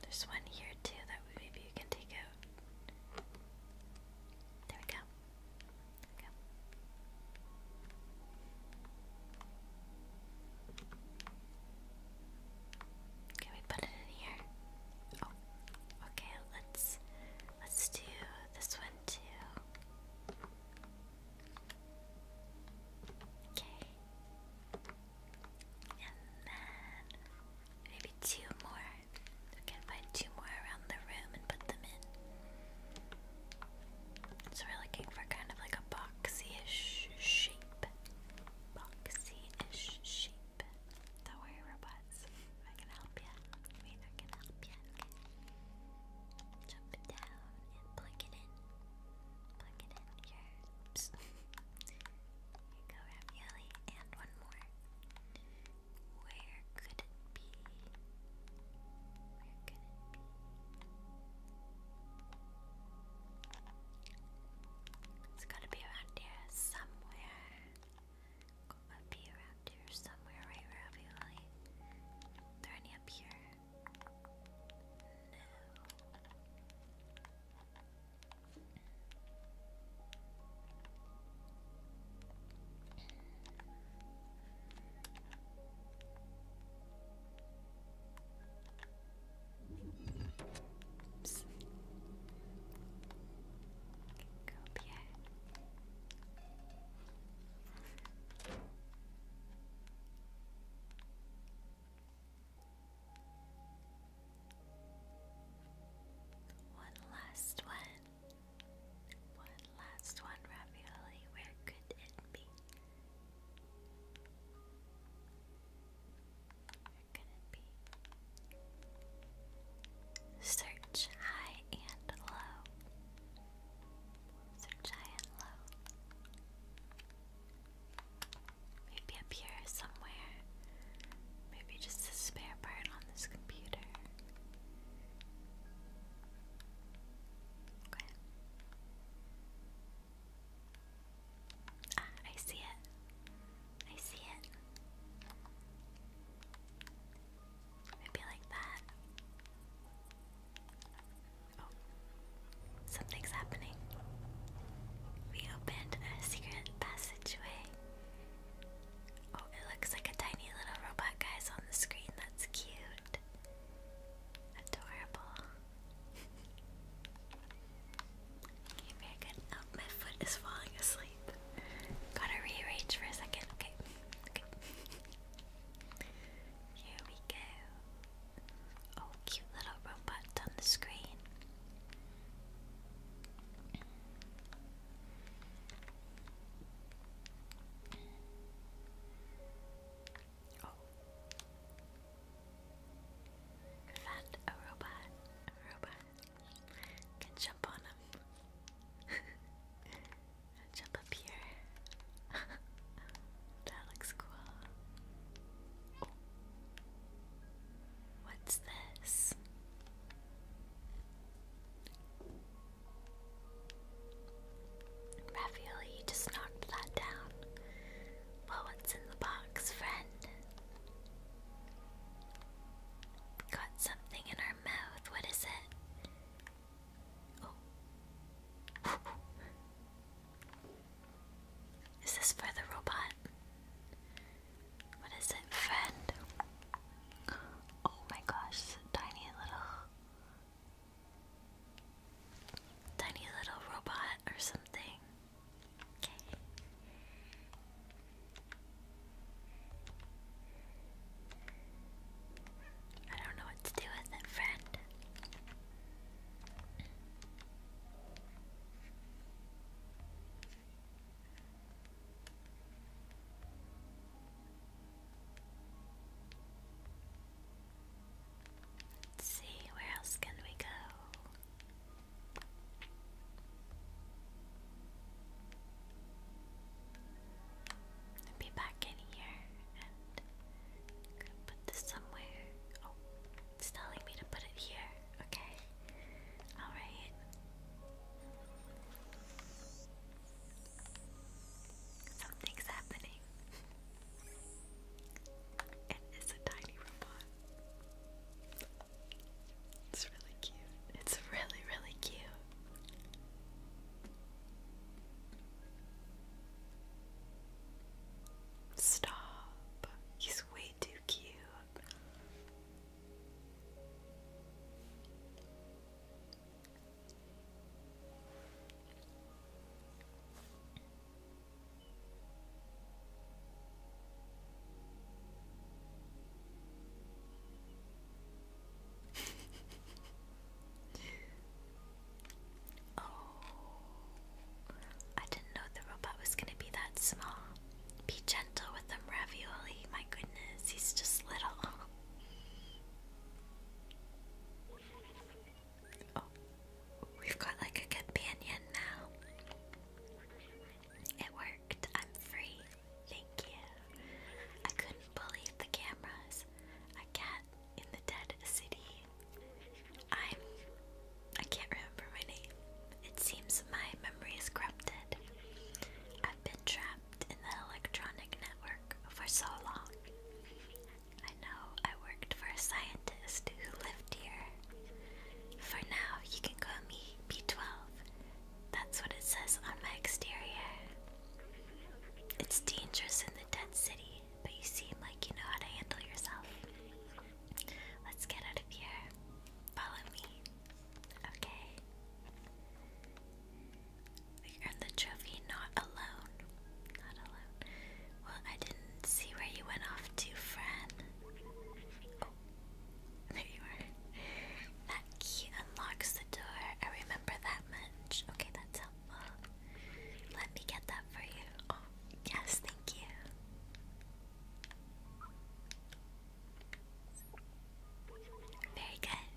There's one here too that maybe you can take out. There we go. Can we put it in here? Oh, okay. Let's let's do this one too. Okay, and then maybe two more. We can find two more around the room and put them in. So we're looking for kind of like a boxy-ish shape. Boxy-ish shape. Don't worry, robots. I can help you. We I can help you. Jump it down and plug it in. Plug it in here. Here you go, ravioli. And one more. Where could it be? Where could it be? It's gotta be around here somewhere. Gotta be around here somewhere, right, Ravioli? Are there any up here? No. One last one. One last one, Where could it be? Search high and low. Search high and low. Maybe up here somewhere. Maybe just a spare part on this computer. Okay. Ah, I see it. I see it. Maybe like that. Oh, something's happening. We opened a secret passageway. Oh, it looks like a tiny little robot guy's on the screen. That's cute. Adorable. Okay, very good. my foot is falling asleep. Gotta rearrange for a second. Okay. Here we go. Oh, cute little robot on the screen. Oh that a robot, a robot can jump on him. jump up here. that looks cool. What's this? Ravioli just knocked that down. Well, what's in the box, friend? Got something in our mouth. What is it? Oh. is this for the robot? What is it, friend? Oh my gosh, tiny little Tiny little robot or something. Okay. I don't know what to do with it, friend. Let's see, where else can we go? be back in here and put this somewhere. Oh, it's telling me to put it here. Okay. Alright. Something's happening. it's a tiny robot. It's really cute. It's really, really cute. Stop. He's way too cute oh, I didn't know the robot was gonna be that small. Be gentle with them, Ravioli. My goodness, he's just little. Oh, we've got like a companion now. It worked. I'm free. Thank you. I couldn't believe the cameras. A cat in the dead city. I'm. I can't remember my name. It seems my memory is corrupted. I've been trapped in the electronic network for so long. I know I worked for a scientist who lived here. For now, you can call me B12. That's what it says on my exterior. It's dangerous in the dead city, but you seem like you know how to handle yourself. Let's get out of here. Follow me. Okay. We earned the trophy not alone, not alone. Well, I didn't see where you went off to, Fran. Oh, there you are. That key unlocks the door. I remember that much. Okay, that's helpful. Let me get that for you. Oh, yes, thank you. Very good.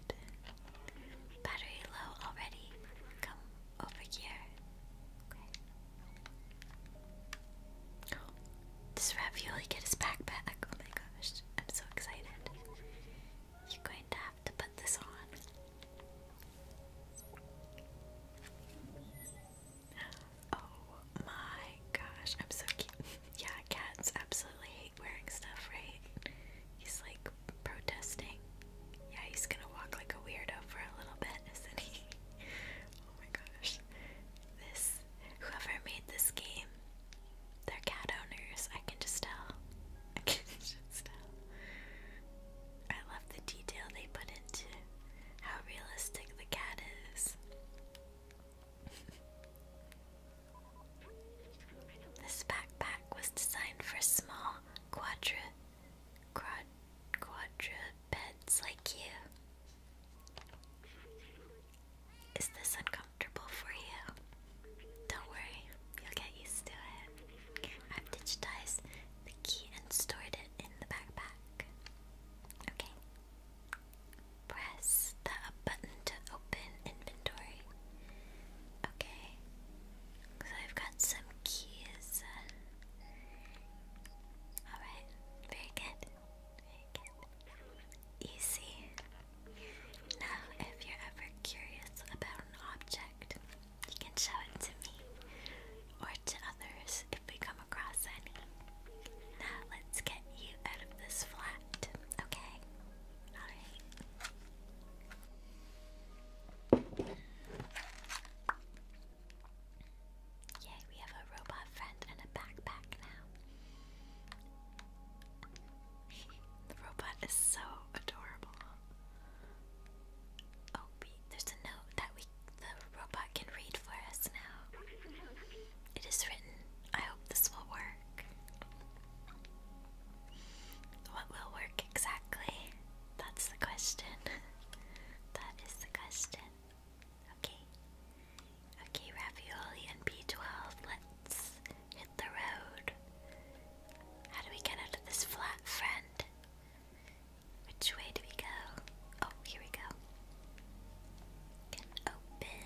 Battery low already. Come over here. Okay. Does Ravioli get his backpack? Oh my gosh, I'm so excited. You're going to have to put this on. Oh my gosh, I'm so cute. yeah, cats absolutely hate wearing stuff, right? He's like protesting. Yeah, he's gonna walk like a weirdo for a little bit, isn't he? oh my gosh. This, whoever made this game, they cat owners. I can just tell. I can just tell. I love the detail they put into how realistic the cat is. this backpack was designed for small quadra quadrupeds like you. Is this uncomfortable for you? Don't worry, you'll get used to it. I've digitized the key and stored it in the backpack. Okay. Press the button to open inventory. Okay. So I've got some keys. Alright, very good. Easy. Now, if you're ever curious about an object, you can show it to me or to others if we come across any. Now, let's get you out of this flat, okay? Alright. Yay, we have a robot friend and a backpack now. the robot is so adorable. Oh, there's a note that we the robot can read for us now. It is written. I hope this will work. What will work exactly? That's the question. that is the question. Okay. Okay, Ravioli and B12, let's hit the road. How do we get out of this flat, friend? Which way do we go? Oh, here we go. open.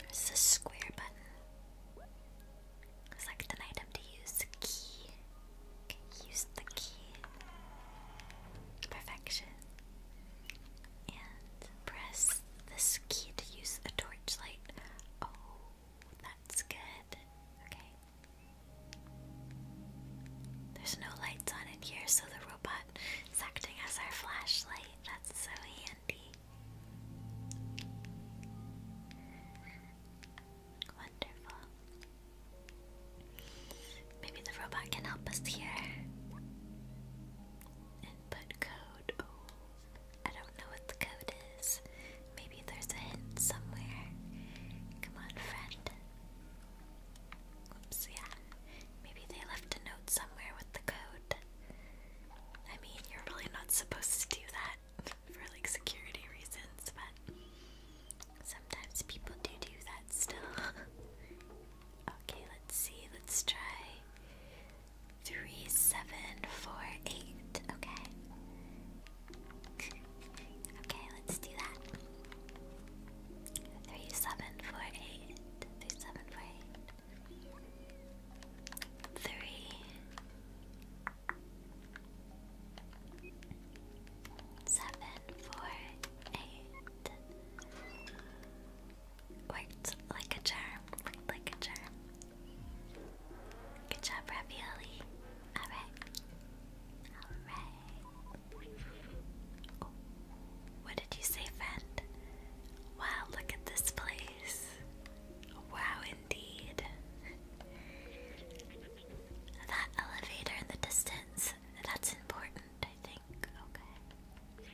There's a square button. Select an item to use. Key use the key perfection and press this key to use a torchlight. Oh, that's good. Okay. There's no lights on in here, so the robot is acting as our flashlight. That's so handy. Wonderful. Maybe the robot can help us here. Input code. Oh, I don't know what the code is. Maybe there's a hint somewhere. Come on, friend. Oops, yeah. Maybe they left a note somewhere with the code. I mean, you're really not supposed to do that for like security reasons, but Sometimes people do do that still. okay, let's see. Let's try three, seven, four, eight. Okay. okay, let's do that. Three, seven, four, eight. Three, seven, four, eight. Three. Seven Worked like a charm. Worked like a charm. Good job, Ravioli. Alright. Alright. What did you say, friend? Wow, look at this place. Wow, indeed. That elevator in the distance, that's important, I think. Okay.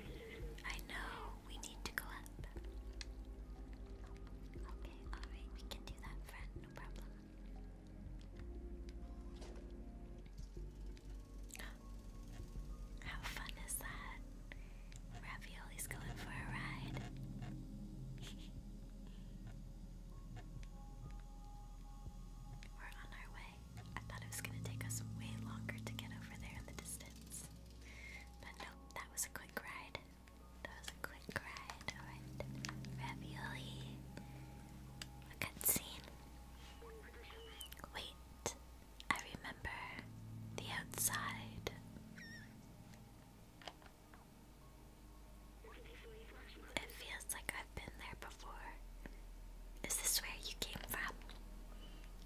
I know we need to go up. Okay, alright, we can do that, friend, no problem. How fun is that? Ravioli's going for a ride. We're on our way. I thought it was gonna take us way longer to get over there in the distance. But no, that was a quick ride. That was a quick ride. Alright. Ravioli. A cutscene. Wait. I remember the outside. It feels like I've been there before. Is this where you came from?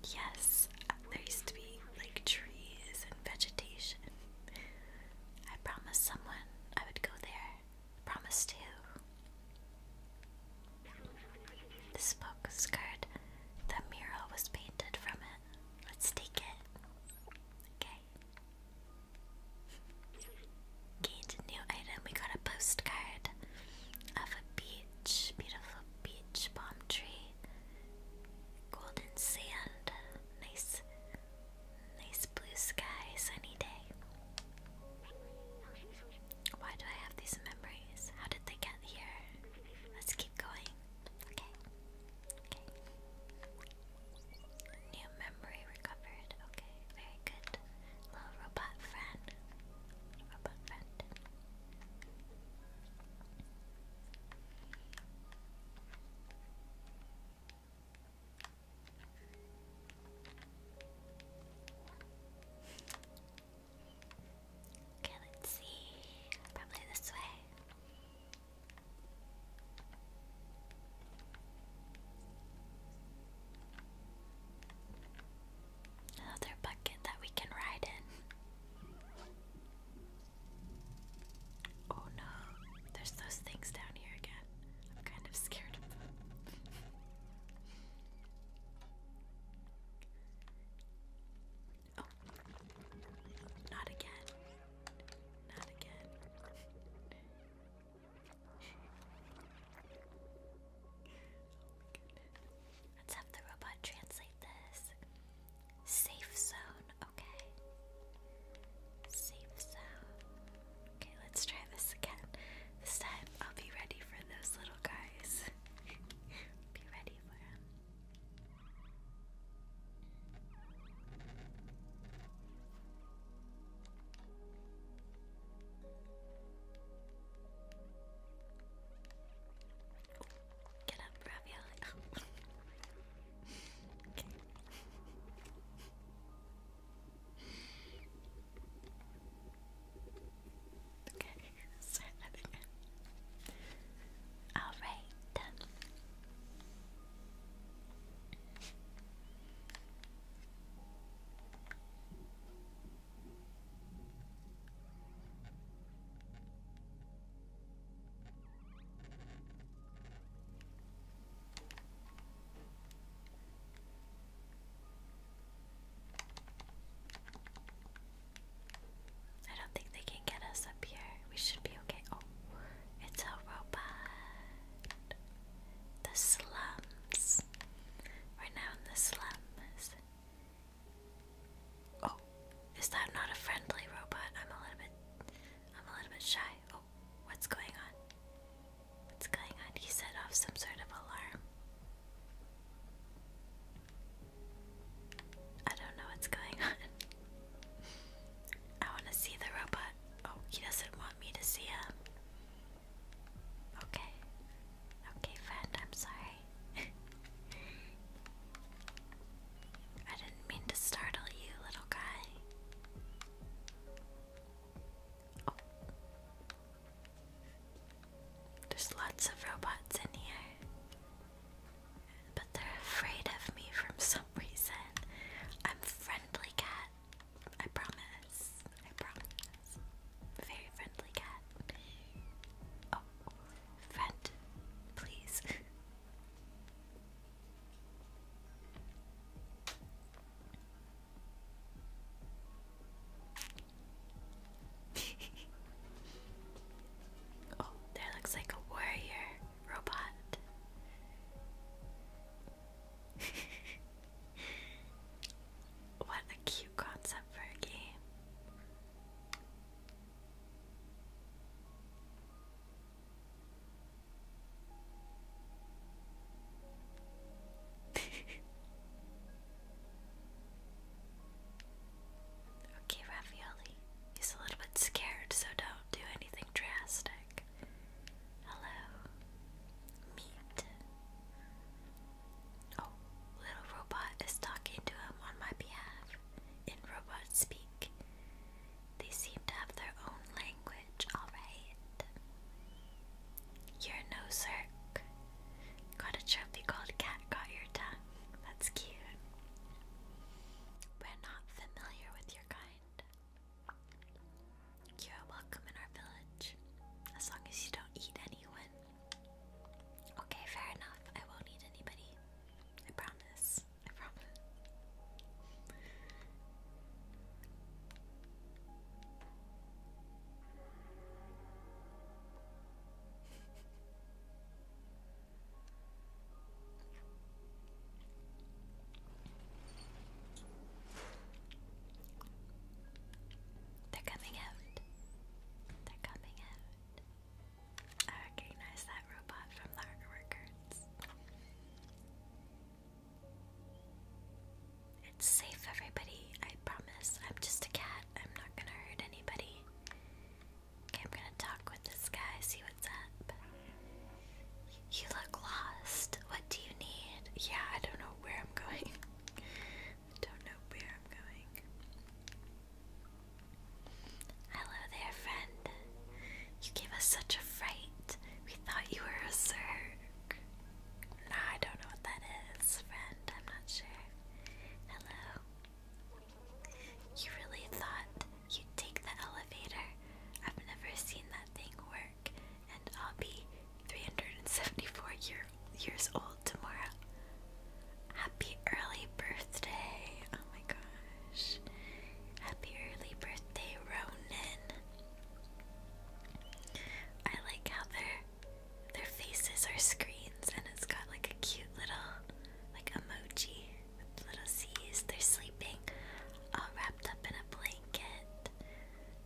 Yes, there used to be like trees and vegetation. I promised someone I would go there. Promised who? This postcard, the mural was painted from it. Let's take it. Okay. Gained a new item. We got a postcard of a beach, beautiful beach, palm tree, golden sand, nice, nice blue sky, sunny day. Why do I have these memories? How did they get here? Let's keep going. Okay. New memory recovered. Okay, very good. Little robot friend. Robot friend. Okay, let's see. Probably this way. Another bucket that we can ride in. Oh no, there's those things down here again. I'm kind of scared of them. oh, not again. Not again. Let's have the robot translate this. Safe zone, okay. Safe zone. Okay, let's try this again. This time I'll be ready for those little guys. be ready for them. Get up, Ravioli. okay. right, done. I don't think they can get us up here. We should be okay. Oh, it's a robot. The slums. we now in the slums. Oh, is that not a friendly robot? I'm a little bit, I'm a little bit shy. Oh, what's going on? What's going on? He set off some sort of alarm. I don't know what's going on. I want to see the robot. Oh, he doesn't want me to see him. Okay. Okay, friend, I'm sorry. I didn't mean to startle you, little guy. Oh. There's lots of robots in here. But they're afraid of me from some reason. I'm friendly cat. I promise. I promise. Very friendly cat. Oh, friend, please. oh, there looks like a warrior robot. What a cute concept for a game. okay, Ravioli. He's a little bit scared, so don't do anything drastic. Hello. Meat. Oh, little robot is talking to him on my behalf in robot speak. They seem to have their own language, alright. You're no circ. Got a trophy called Cat Got Your Tongue. That's cute. We're not familiar with your kind. You're welcome in our village. As long as you don't eat anyone. Okay, fair enough. I won't eat anybody. I promise. I promise. They're coming out. They're coming out. I recognize that robot from the records. It's safe, everybody. I promise. I'm just a cat. I'm not gonna hurt anybody. Okay, I'm gonna talk with this guy, see what's up. You look lost. What do you need? Yeah, I don't know where I'm going. I don't know where I'm going. Hello there, friend. You gave us such a fright. We thought you were a Zerg. I don't know what that is, friend. I'm not sure. Hello. You really thought you'd take the elevator? I've never seen that thing work and I'll be 374 year, years old tomorrow. Happy early birthday! Oh my gosh. Happy early birthday, Ronan. I like how their their faces are screens and it's got like a cute little like emoji little C's. They're sleeping all wrapped up in a blanket.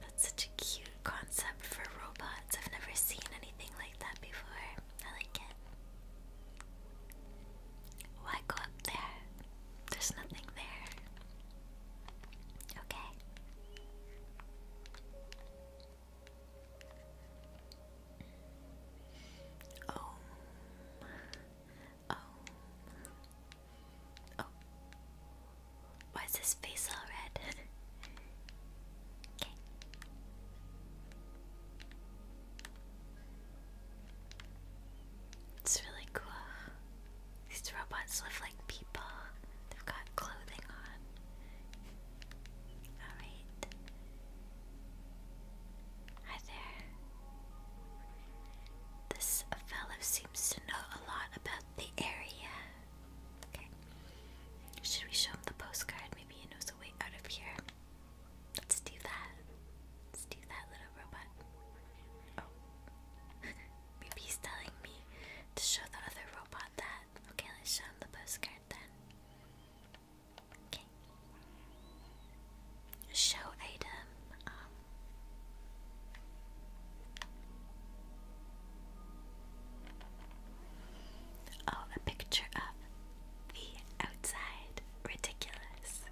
That's such a cute concept for robots. I've never seen anything like that before. I like it. Why go up there? There's nothing there. Okay. Om. Oh. Om. Oh. Oh. Why is his face all red? It's really cool. These robots live like people. They've got clothing on. Alright. Hi there. This fellow seems to know a lot about the area. Okay. Should we show him the postcard? Maybe he knows a way out of here. Let's do that. Let's do that, little robot. Oh. Maybe he's telling me to show the other robot that. Okay, let's show him the postcard then. Okay. Show item. Um, Oh, a picture of the outside. Ridiculous.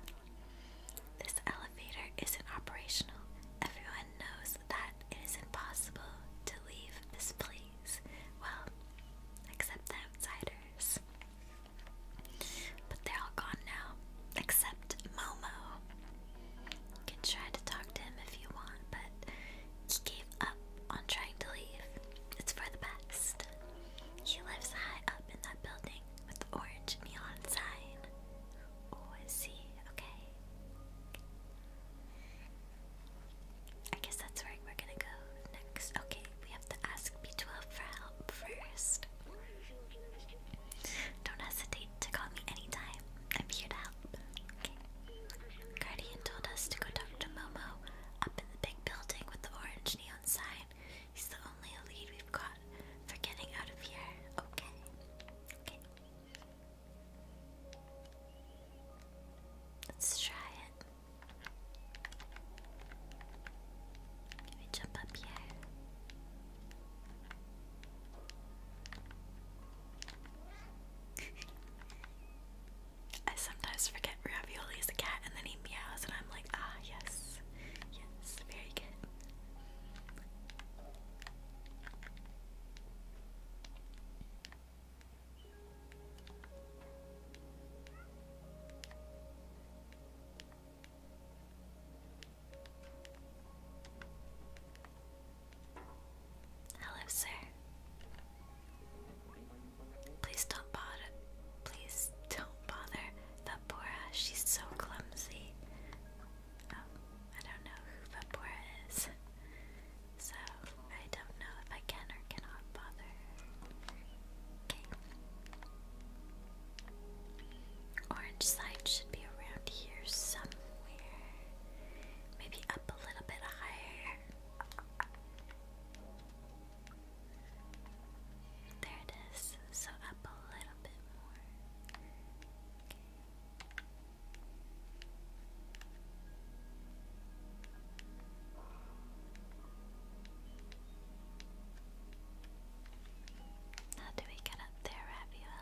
This elevator isn't operational. Everyone knows that it is impossible to leave this place. Well, except the outsiders. But they're all gone now. Except Momo. You can try to talk to him if you want, but he gave up on trying to leave. It's for the best. He lives high up in that building with the orange neon sign. Oh, is he? Okay. I guess that's where we're gonna go next. Okay, we have to ask B12 for help first. Don't hesitate to call me anytime. I'm here to Guardian told us to go talk to Momo up in the big building with the orange neon sign. He's the only lead we've got for getting out of here. Okay. Okay. Let's try it. Can we jump up here? I sometimes forget Ravioli is a cat and then he meows and I'm like, ah, yes. Yes, very good. Hello, sir. Please don't bother. Please don't bother Vapora. She's so clumsy. Um, I don't know who Vapora is. So, I don't know if I can or cannot bother. Okay. Orange side should be around here somewhere. Maybe up a little bit higher. There it is. So up a little bit more. How do we get up there, Ravioli?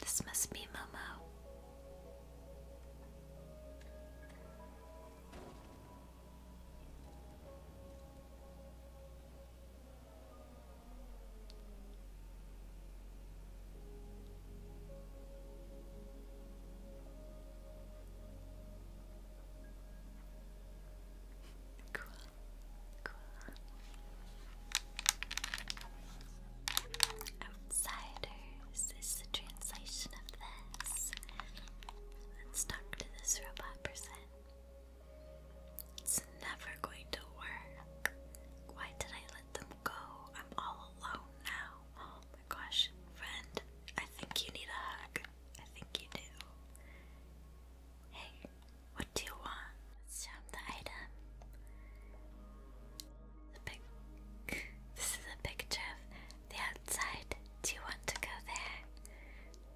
This must be Momo. Outsiders is the translation of this. let to this robot person. It's never going to work. Why did I let them go? I'm all alone now. Oh my gosh. Friend, I think you need a hug. I think you do. Hey, what do you want? Let's show the item this is a picture of the outside. Do you want to go there?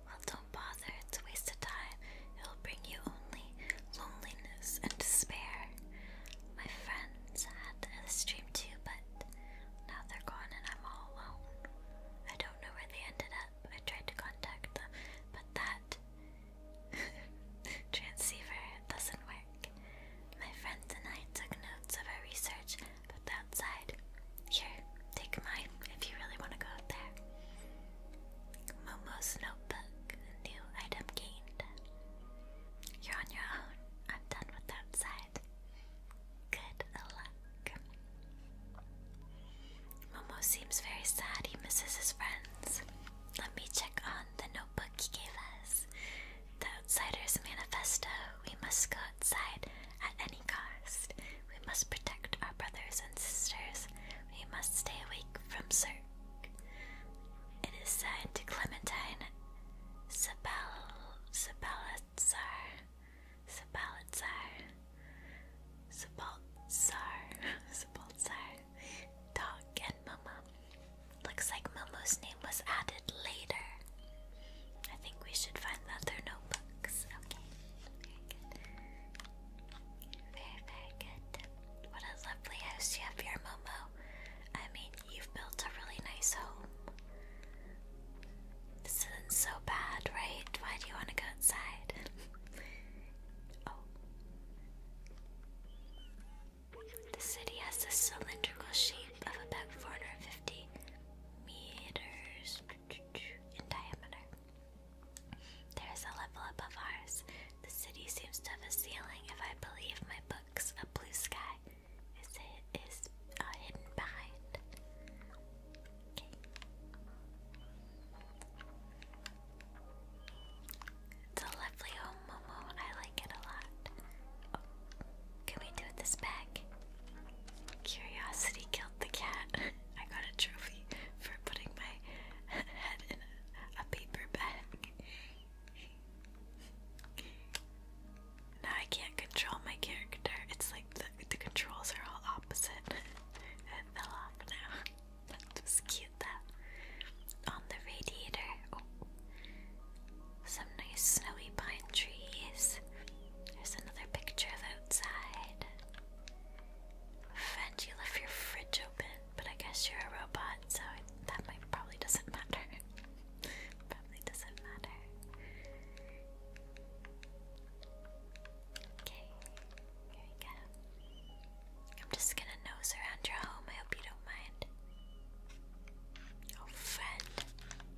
Well, don't bother. It's a waste of time. It'll bring you only loneliness and despair. My friends had a dream too, but now they're gone and I'm all alone. I don't know where they ended up. I tried to contact them, but that Transceiver doesn't work. My friends and I took notes of our research, but outside. Here, take mine if you really want to go out there. Momo's notebook. New item gained. You're on your own. I'm done with outside. Good luck. Momo seems very sad he misses his friends. Let me check on the note. The Outsider's Manifesto We must go outside at any cost. We must protect our brothers and sisters. We must stay awake from Cirque. It is signed to Clementine Sabal Sabalitzar. Sabalitzar. Sabaltzar. Sabaltzar. Doc and Mama. Looks like Momo's name was added later. I think we should find other notebooks. Okay. Very good. Very, very good. What a lovely house you have here, Momo. I mean, you've built a really nice home. This isn't so bad, right? Why do you want to go outside? oh. The city has a cylindrical shape of about 450 meters in diameter. There is a level above ours. The city seems to have a ceiling, if I believe my books. A blue sky is, it is uh, hidden behind. It's a lovely home, Momo. I like it a lot. Oh, can we do this bag? Curiosity killed the cat. I got a trophy for putting my head in a, paper bag. now I can't control my character. It's like the, controls are all opposite. fell off now. That was cute. On the radiator. Oh. Some nice snowy pine trees. There's another picture of outside. Friend, you left your fridge open, but I guess you're a robot, so that might probably doesn't matter. probably doesn't matter. Okay, here we go. I'm just gonna nose around your home. I hope you don't mind. Oh, friend,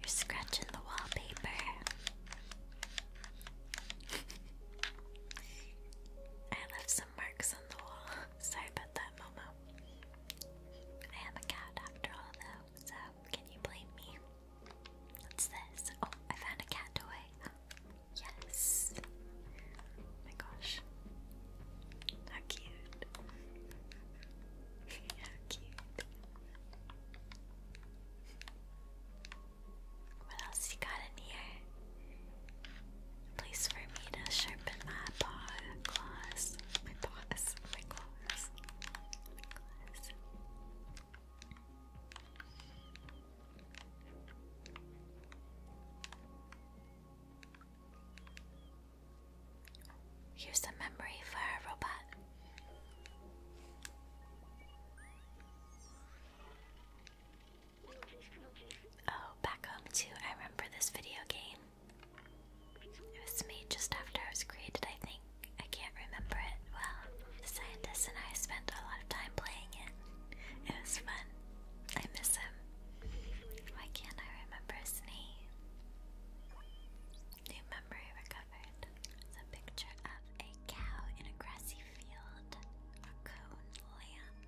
you're scratching the wallpaper. I left some marks on the wall. Sorry about that, Momo. I am a cat after all, though, so can you blame me? What's this? Oh, I found a cat toy. Yes my gosh. How cute. How cute. What else you got in here? place for me to sharpen my claws. My paws. My claws. Here's a memory for our robot. Oh, back home too. I remember this video game. It was made just after I was created, I think. I can't remember it well. The scientist and I spent a lot of time playing it. It was fun. I miss him. Why can't I remember his name? New memory recovered. It's a picture of a cow in a grassy field. A cone lamp.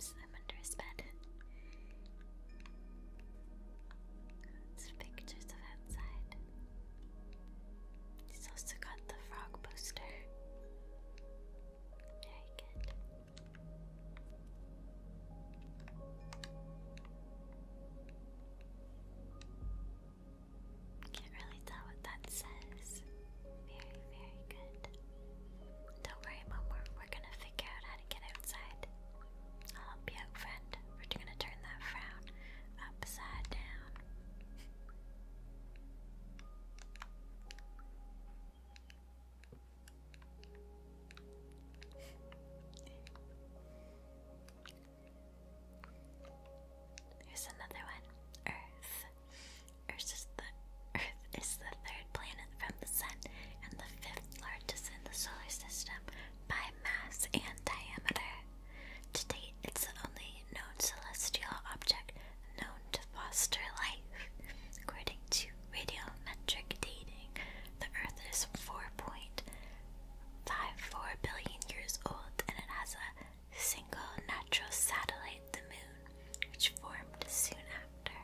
I'm under his bed. It's pictures of outside. He's also got the frog poster. Very good. Can't really tell what that says. Very, very good. Don't worry, Mom. We're, gonna figure out how to get outside. I'll help you friend. We're gonna turn that frown upside down. Here's another one. Earth. Earth is the Earth is the third planet from the Sun and the fifth largest in the solar system by mass and diameter. To it's only known celestial object known to foster life. According to radiometric dating, the Earth is 4.54 billion years old and it has a single natural satellite, the Moon, which formed soon after.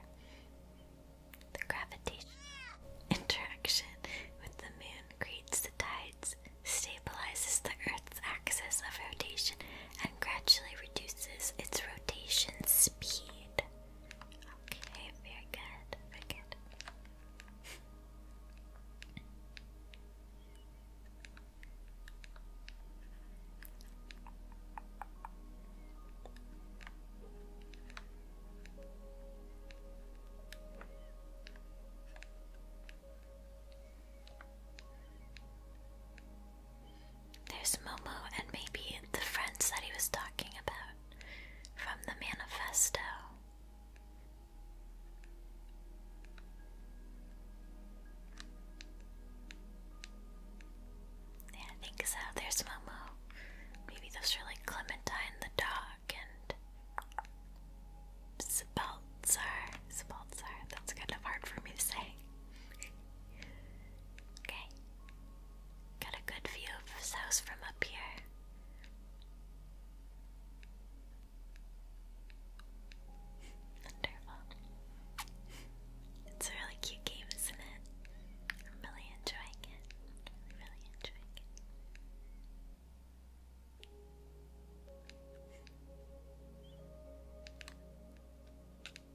The gravitational interaction with the Moon creates the tides, stabilizes the Earth axis of rotation and gradually reduces its rotation speed. Okay, very good, very good. There's Momo and maybe the friends that he was talking about from the manifesto. Yeah, I think so. There's Momo. Maybe those are like Clementine the dog and Spaltzar. Spaltzar. That's kind of hard for me to say. Okay. Got a good view of this house from up here. Wonderful. It's a really cute game, isn't it? I'm really enjoying it. Really, enjoying it.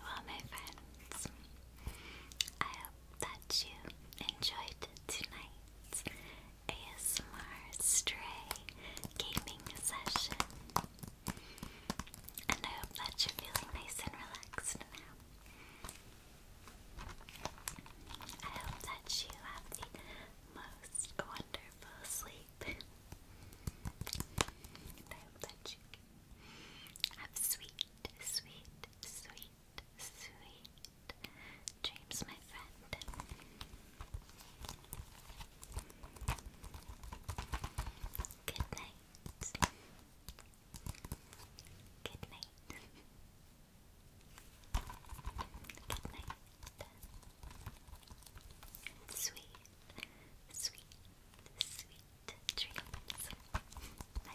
Well, my friends, I hope that you enjoyed tonight's ASMR Stray gaming session. And I hope that you're feeling nice and relaxed now. I hope that you have the most wonderful sleep. I hope that you have sweet, sweet, sweet, sweet dreams, my friend. Good night night. Good night. Good night. Sweet, sweet, sweet dreams, my